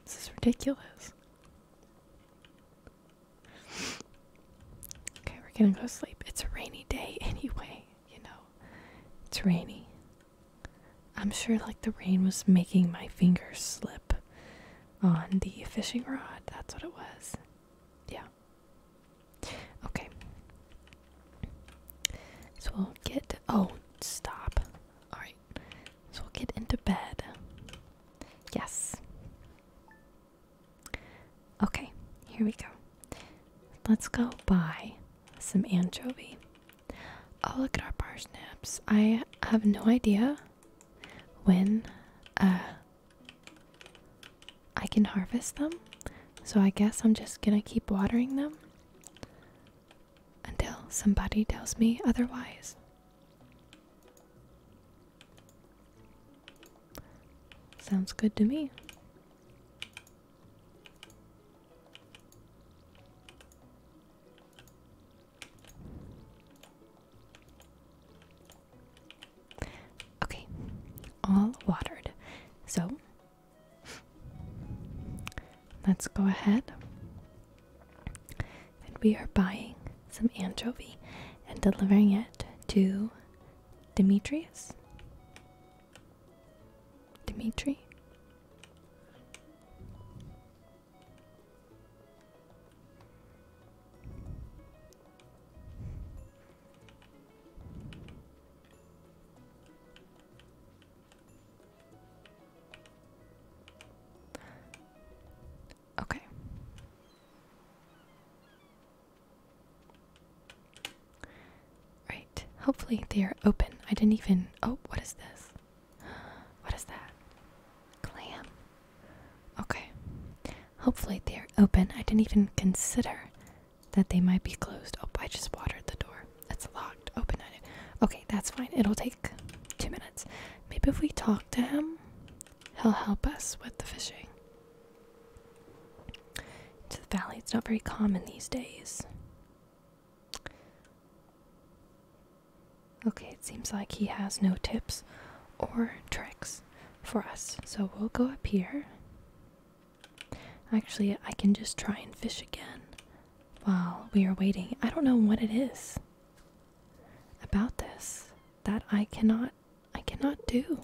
This is ridiculous. Okay, we're gonna go sleep. It's a rainy day anyway, you know. It's rainy. I'm sure like the rain was making my fingers slip on the fishing rod. That's what it was. Yeah. Okay. So we'll get. Oh, stop. Alright. So we'll get into bed. Yes. Okay, here we go. Let's go buy some anchovy. I'll oh, look at our parsnips. I have no idea when uh, I can harvest them, so I guess I'm just gonna keep watering them until somebody tells me otherwise. Sounds good to me. Okay, all watered. So let's go ahead and we are buying some anchovy and delivering it to Demetrius. Dimitri? Okay. Right. Hopefully they are open. I didn't even. Oh, what is this? What is that? Clam. Okay. Hopefully they are open. I didn't even consider that they might be closed. Oh, I just watered the door. It's locked. Open it. Okay, that's fine. It'll take two minutes. Maybe if we talk to him, he'll help us with the fishing. To the valley, it's not very common these days. Okay, it seems like he has no tips or tricks for us. So we'll go up here. Actually, I can just try and fish again while we are waiting. I don't know what it is about this that I cannot I cannot do.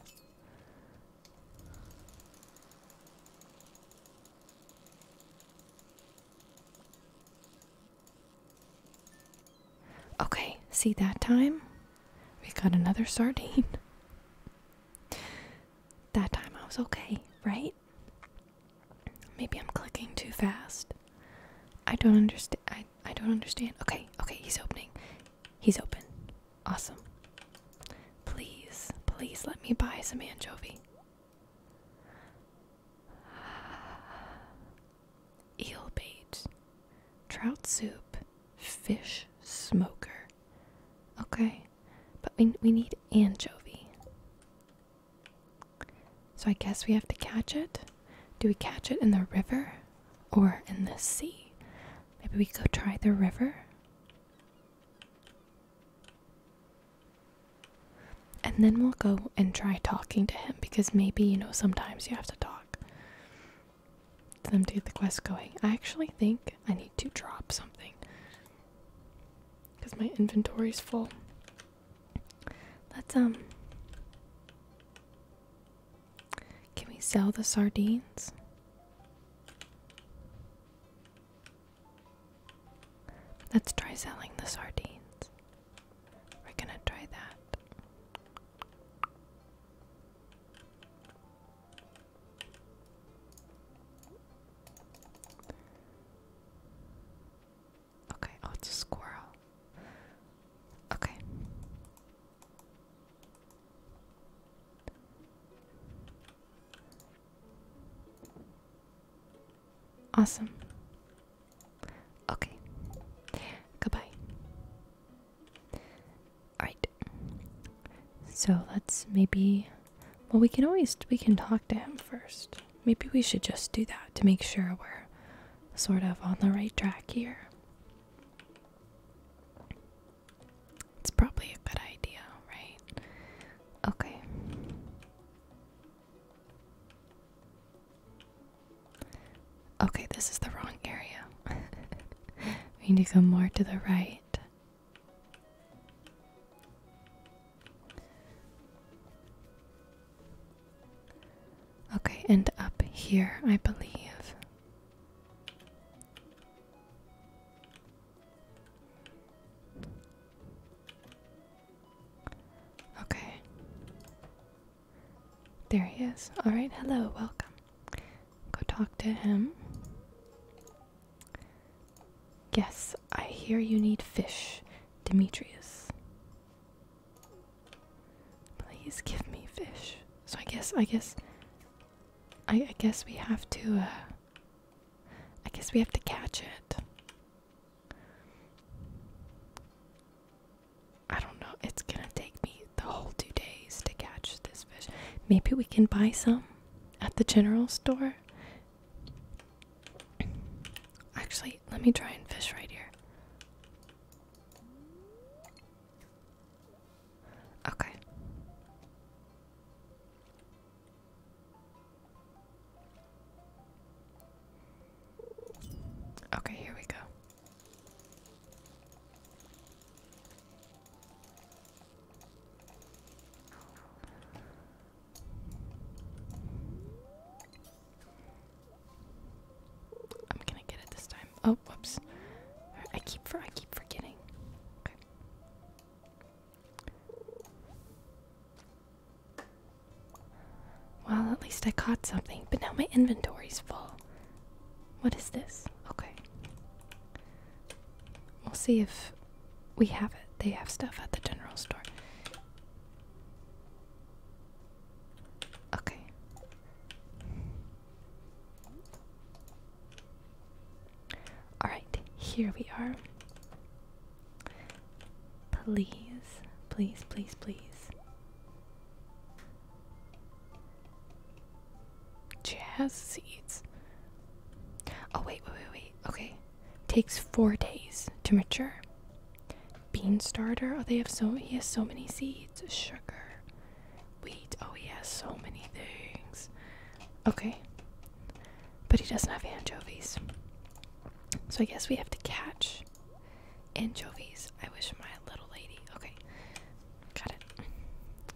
Okay, see that time? We got another sardine. That time I was okay, right? Maybe I'm clicking too fast. I don't understand. I, I don't understand. Okay, okay, he's opening. He's open. Awesome. Please, please let me buy some anchovy. Eel bait, trout soup, fish smoker. Okay, but we, we need anchovy. So I guess we have to catch it. Do we catch it in the river or in the sea? Maybe we go try the river. And then we'll go and try talking to him because maybe, you know, sometimes you have to talk to them to get the quest going. I actually think I need to drop something because my inventory is full. Let's, um, can we sell the sardines? Let's try selling the sardines. We're gonna try that. Okay, oh, it's a squirrel. Okay. Awesome. Okay. Goodbye. Alright. So let's maybe. Well, we can always. We can talk to him first. Maybe we should just do that to make sure we're sort of on the right track here. It's probably a good idea, right? Okay. Okay, this is the wrong area. we need to go more to the right. Okay, and up here, I believe. Okay. There he is. Alright, hello, welcome. Go talk to him. Yes, I hear you need fish, Demetrius. Please give me fish. So I guess, I guess, I, I guess we have to, uh, I guess we have to catch it. I don't know. It's gonna take me the whole two days to catch this fish. Maybe we can buy some at the general store. Actually, let me try and fish right here. Okay. Okay, here we go. I'm gonna get it this time. Oh, whoops. I keep for I keep forgetting. Okay. Well, at least I caught something, but now my inventory's full. What is this? Okay. We'll see if we have it. They have stuff at the general store. Okay. Alright, here we are. Please, please, please, please. Jazz seeds. Oh, wait, wait, wait, wait. Okay. Takes four days to mature. Bean starter. Oh, they have so he has so many seeds. Sugar, wheat. Oh, he has so many things. Okay. But he doesn't have anchovies. So I guess we have to catch anchovies. I wish my little lady. Okay. Got it.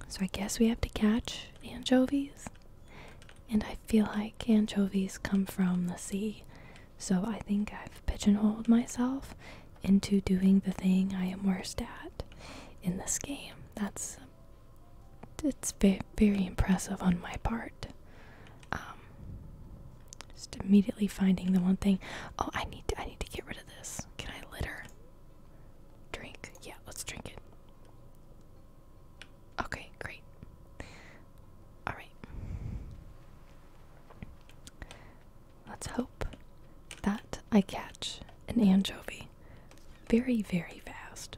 So I guess we have to catch anchovies. And I feel like anchovies come from the sea. So I think I've pigeonholed myself into doing the thing I am worst at in this game. That's it's very, impressive on my part. Um, just immediately finding the one thing. Oh, I need I need to get rid of this. Can I litter? Drink? Yeah, let's drink it. Okay, great. All right. Let's hope that I catch an anchovy very, very fast.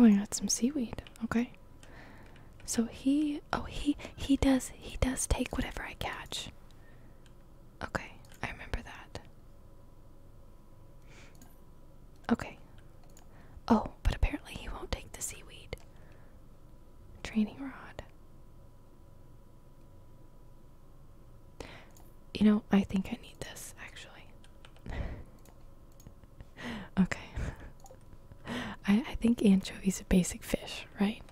Oh, I got some seaweed. Okay. So he, oh he, he does, he does take whatever I catch. Okay, I remember that. Okay. Oh, but apparently he won't take the seaweed. Training rod. You know, I think I need this actually. okay. I, I think anchovies a basic fish, right?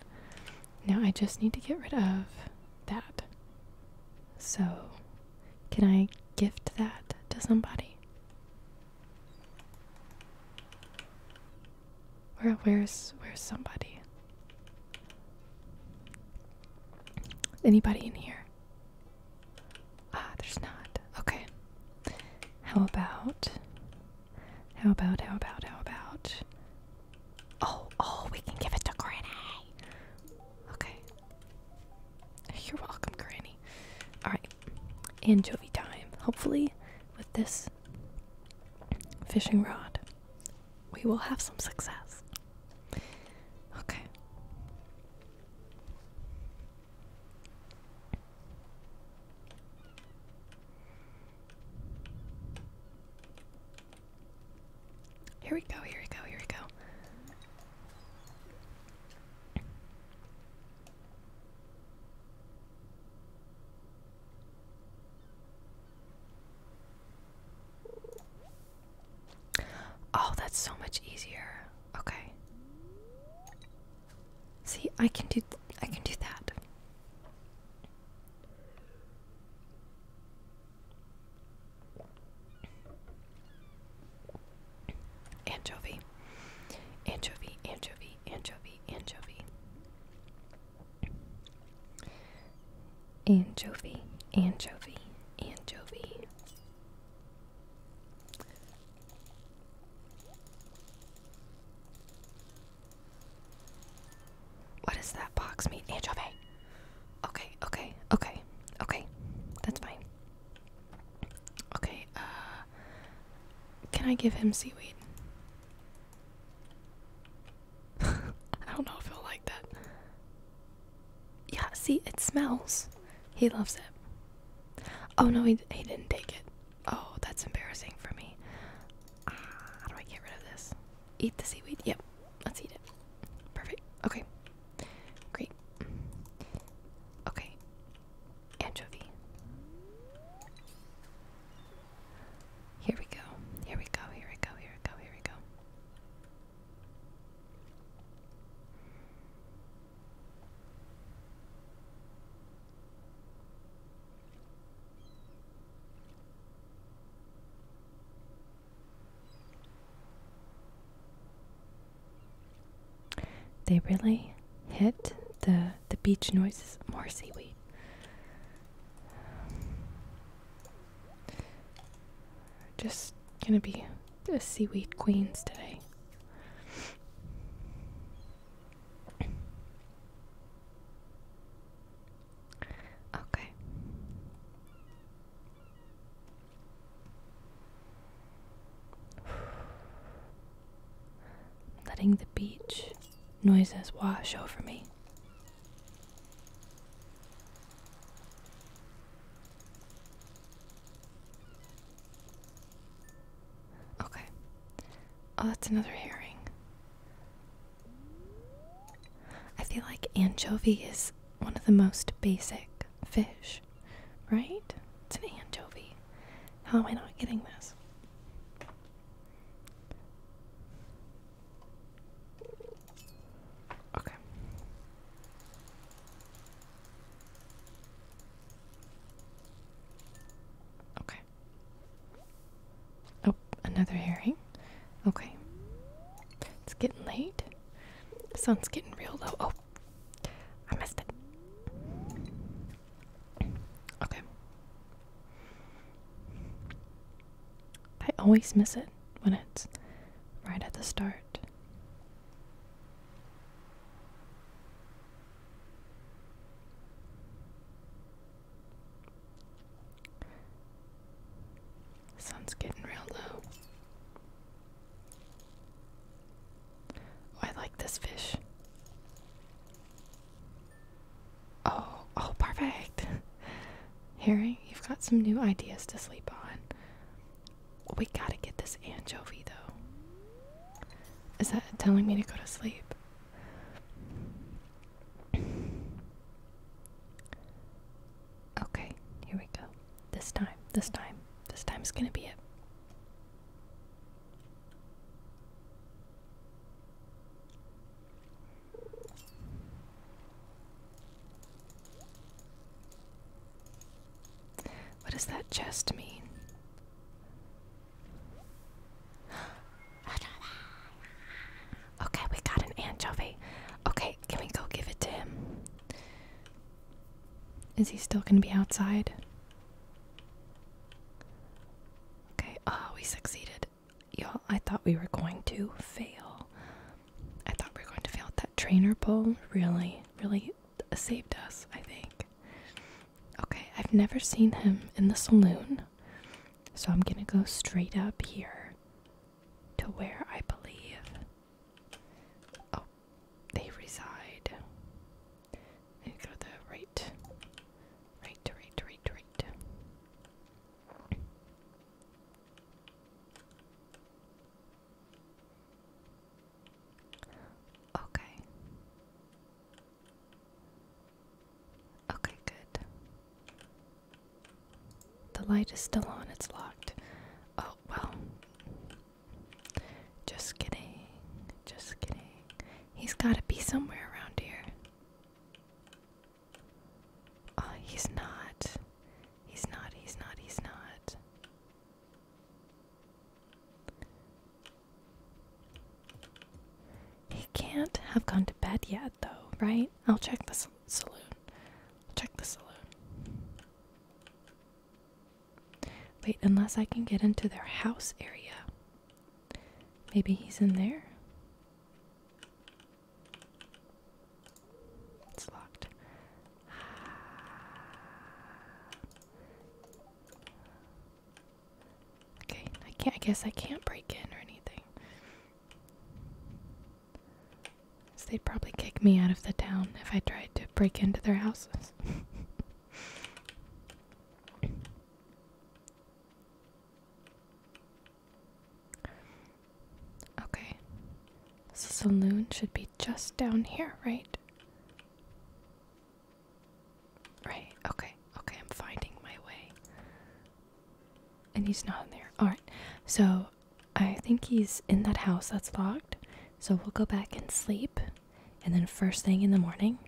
Now I just need to get rid of that. So, can I gift that to somebody? Where where's where's somebody? Anybody in here? Ah, there's not. Okay. How about how about how about how about Oh, oh, we can give it to Granny. Okay. You're welcome, Granny. Alright. Anchovy time. Hopefully with this fishing rod we will have some success. Okay. Here we go, here we go, here we go. Oh, that's so much easier. Okay. See, I can do I can do that. Anchovy. Anchovy, anchovy, anchovy, anchovy. Anchovy, anchovy, anchovy. What does that box mean? Anchovy. Okay, okay, okay, okay. That's fine. Okay, uh, can I give him seaweed? I don't know if he'll like that. Yeah, see, it smells. He loves it. Oh no, he, he didn't take it. Oh, that's embarrassing for me. Ah, how do I get rid of this? Eat the seaweed? Yep, let's eat it. Perfect. Okay. Great. Okay. Anchovy. Here we go. Here we go. Here we go. Here we go. Here we go. They really hit the the beach noises more seaweed. Just gonna be a seaweed queens today. Okay. Letting the beach noises wash over me. Okay. Oh, that's another herring. I feel like anchovy is one of the most basic fish, right? It's an anchovy. How am I not getting this? Okay. Okay. Oh, another herring. Okay. It's getting late. The sun's getting real low. Oh, I missed it. Okay. I always miss it when it's right at the start. sun's getting real low. Oh, I like this fish. Oh, oh, perfect. Harry, you've got some new ideas to sleep on. We gotta get this anchovy though. Is that telling me to go to sleep? Okay, here we go. This time, this time, this time's gonna be it. What does that chest mean? Okay, we got an anchovy. Okay, can we go give it to him? Is he still gonna be outside? Okay, oh, we succeeded y'all, I thought we were going to fail. I thought we were going to fail. That trainer bowl really, really saved us, I think. Okay, I've never seen him in the saloon, so I'm gonna go straight up here to where I believe. Oh, they reside. go the right, right, right, right, right. Okay. Okay, good. The light is still on, it's locked. Oh, well. Just kidding. Just kidding. He's gotta be somewhere around here. Uh, he's not. He's not, he's not, he's not. He can't have gone to bed yet, though, right? I'll check the saloon. I'll check the saloon. Wait, unless I can get into their house area. Maybe he's in there? It's locked. Okay, I can't. I guess I can't break in or anything. So they'd probably kick me out of the town if I tried to break into their houses. Okay. So saloon should be just down here, right? Right, okay, okay, I'm finding my way. And he's not in there. Alright, so I think he's in that house that's locked. So we'll go back and sleep. And then, first thing in the morning,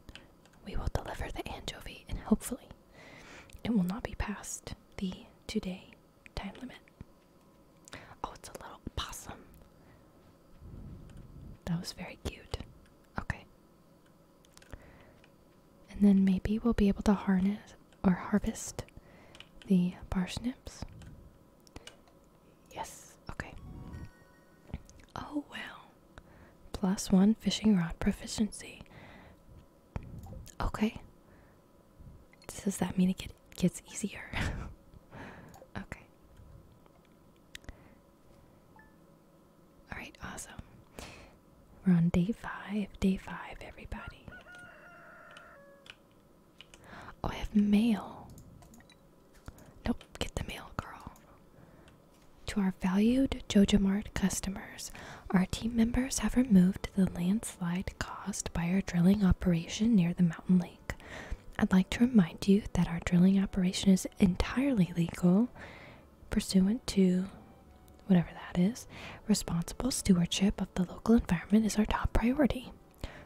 we will deliver the anchovy. And hopefully, it will not be past the today time limit. Oh, it's a little possum. That was very cute. Okay. And then maybe we'll be able to harness or harvest the parsnips. Yes, okay. Oh, wow. Plus one fishing rod proficiency. Okay. Does that mean it gets easier? okay. Alright, awesome. We're on day five. Day five, everybody. Oh, I have mail. Nope, get the mail, girl. To our valued JoJo Mart customers, our team members have removed the landslide caused by our drilling operation near the mountain lake. I'd like to remind you that our drilling operation is entirely legal, pursuant to whatever that is. Responsible stewardship of the local environment is our top priority.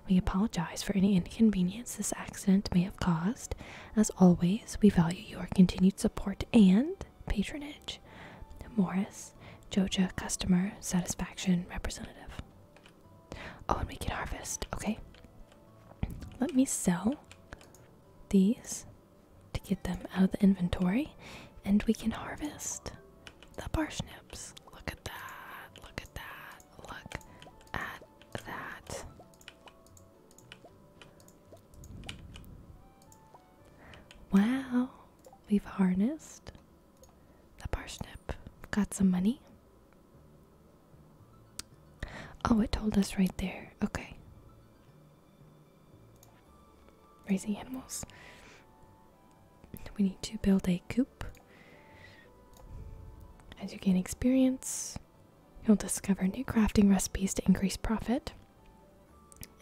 We apologize for any inconvenience this accident may have caused. As always, we value your continued support and patronage. Marriage. Morris, Joja Customer Satisfaction Representative. Oh, and we can harvest. Okay. Let me sell these to get them out of the inventory, and we can harvest the parsnips. Look at that. Look at that. Look at that. Wow, we've harnessed the parsnip got some money. Oh, it told us right there. Okay. Raising animals. We need to build a coop. As you gain experience, you'll discover new crafting recipes to increase profit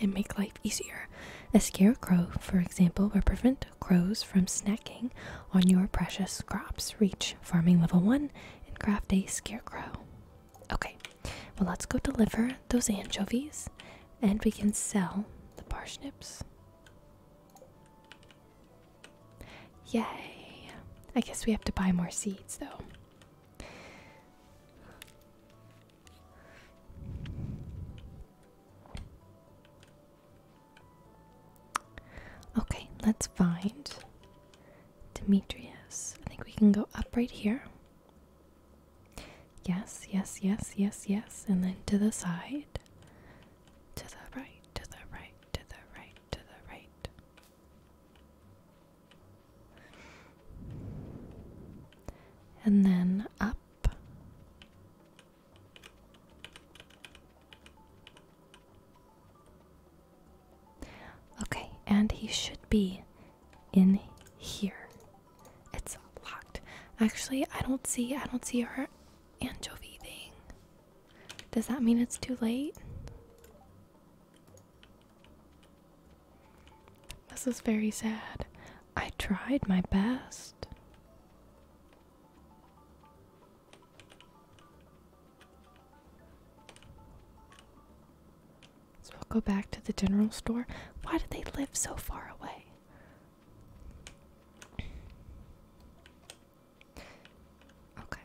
and make life easier. A scarecrow, for example, will prevent crows from snacking on your precious crops. Reach farming level 1 and craft a scarecrow. Okay, well, let's go deliver those anchovies and we can sell the parsnips. Yay! I guess we have to buy more seeds though. Okay, let's find Demetrius. I think we can go up right here. Yes, yes, yes, yes, yes, and then to the side. To the right, to the right, to the right, to the right. And then up Okay, and he should be in here. It's locked. Actually, I don't see I don't see her anchovy thing. Does that mean it's too late? This is very sad. I tried my best. So I'll go back to the general store. Why do they live so far away? Okay.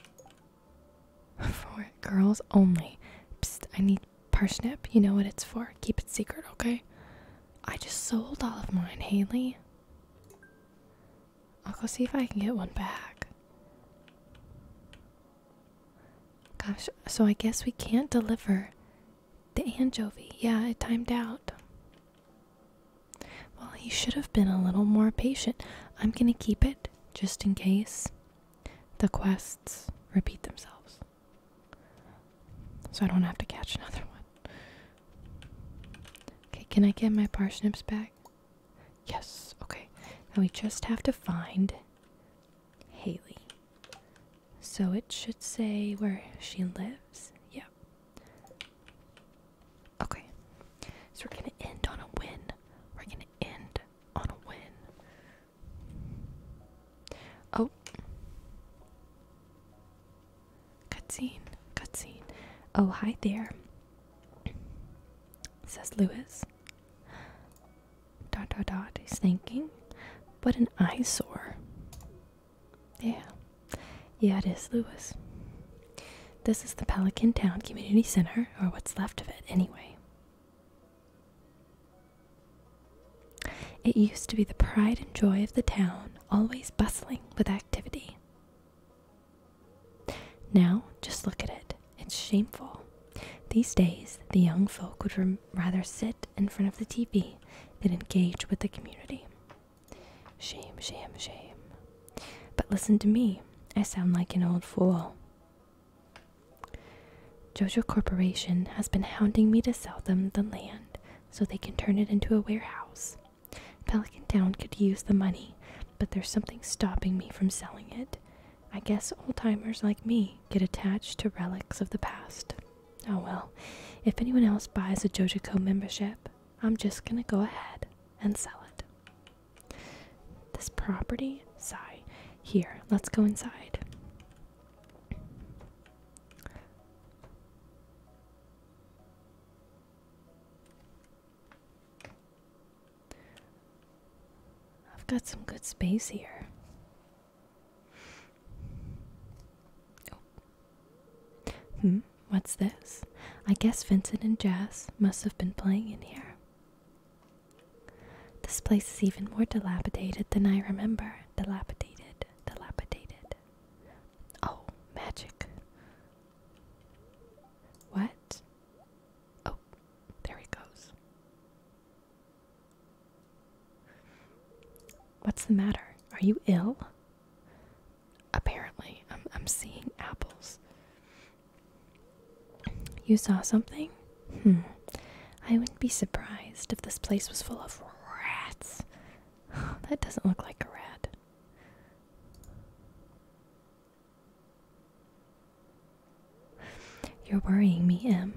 For girls only. I need parsnip. You know what it's for. Keep it secret, okay? I just sold all of mine, Haley. I'll go see if I can get one back. Gosh, so I guess we can't deliver the anchovy. Yeah, it timed out. Well, he should have been a little more patient. I'm gonna keep it just in case the quests repeat themselves. So I don't have to catch another one. Okay, can I get my parsnips back? Yes, okay. Now we just have to find Haley. So it should say where she lives. Yeah. Okay. So we're going to end on a win. We're going to end on a win. Oh. Cutscene, cutscene. Oh, hi there. Says Lewis. Dot dot dot. is thinking. But an eyesore. Yeah. Yeah, it is, Lewis. This is the Pelican Town Community Center, or what's left of it, anyway. It used to be the pride and joy of the town, always bustling with activity. Now, just look at it. It's shameful. These days, the young folk would rather sit in front of the TV than engage with the community. Shame, shame, shame. But listen to me. I sound like an old fool. Jojo Corporation has been hounding me to sell them the land so they can turn it into a warehouse. Pelican Town could use the money, but there's something stopping me from selling it. I guess old timers like me get attached to relics of the past. Oh well, if anyone else buys a Jojico membership, I'm just gonna go ahead and sell it. This property? Sigh. Here, let's go inside. I've got some good space here. Oh. Hmm, what's this? I guess Vincent and Jazz must have been playing in here. This place is even more dilapidated than I remember. Dilapidated, dilapidated. Oh, magic. What? Oh, there he goes. What's the matter? Are you ill? Apparently, I'm, I'm seeing apples. You saw something? Hmm. I wouldn't be surprised if this place was full of rats. that doesn't look like a rat. You're worrying me, Em.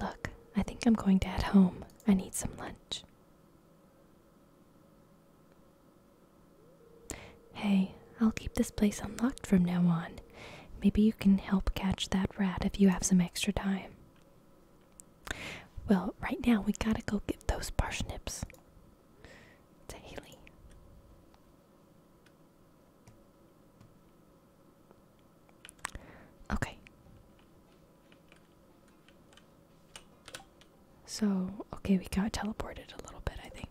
Look, I think I'm going to head home. I need some lunch. Hey, I'll keep this place unlocked from now on. Maybe you can help catch that rat if you have some extra time. Well, right now we gotta go get those parsnips to Okay. So, okay, we got teleported a little bit, I think.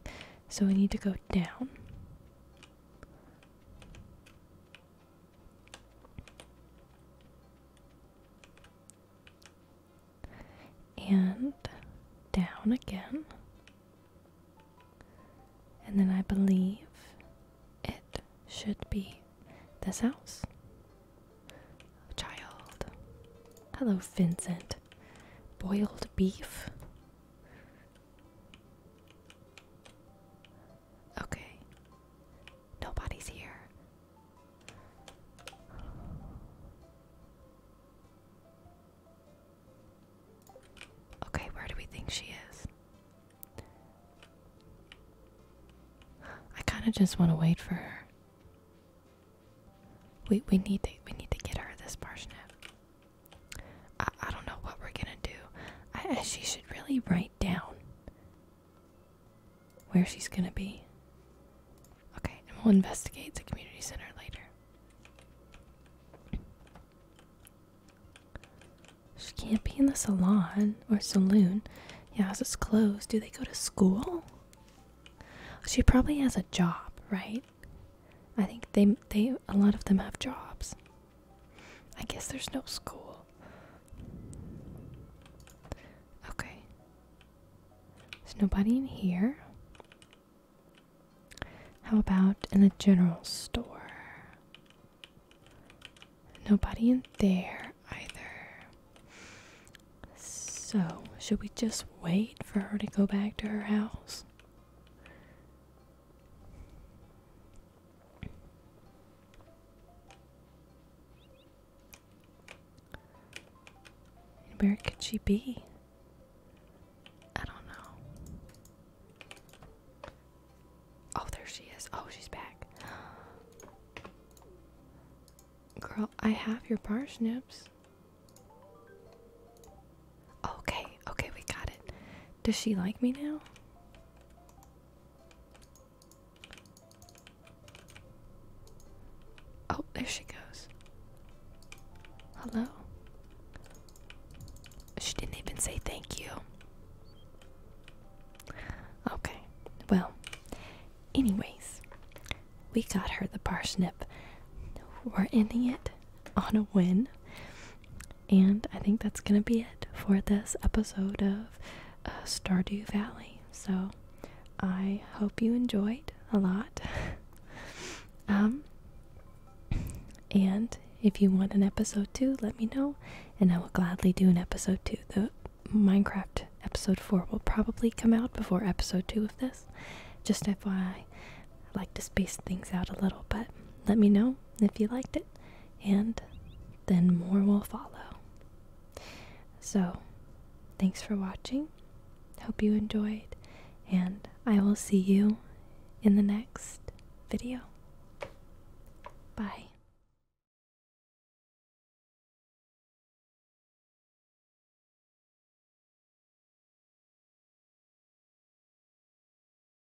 So we need to go down. And down again. And then I believe it should be this house. Child. Hello, Vincent. Boiled beef. Okay. Nobody's here. Okay, where do we think she is? I kind of just want to wait for her. We we need to we need to get her this parsnip. I, don't know what we're gonna do. she should really write down where she's gonna be. Okay, and we'll investigate the community center later. She can't be in the salon or saloon. Yeah, it's closed. Do they go to school? She probably has a job, right? I think they they a lot of them have jobs. I guess there's no school. Okay. There's nobody in here. How about in the general store? Nobody in there either. So, should we just wait for her to go back to her house? Where could she be? I don't know. Oh, there she is. Oh, she's back. Girl, I have your parsnips. Okay, okay, we got it. Does she like me now? Oh, there she goes. Hello. She didn't even say thank you. Okay, well, anyways, we got her the parsnip. We're ending it on a win. And I think that's going to be it for this episode of uh, Stardew Valley. So I hope you enjoyed a lot. um, and if you want an episode two, let me know, and I will gladly do an episode two. The Minecraft episode four will probably come out before episode two of this. Just FYI, I like to space things out a little, but let me know if you liked it and then more will follow. So, thanks for watching. Hope you enjoyed, and I will see you in the next video. Bye.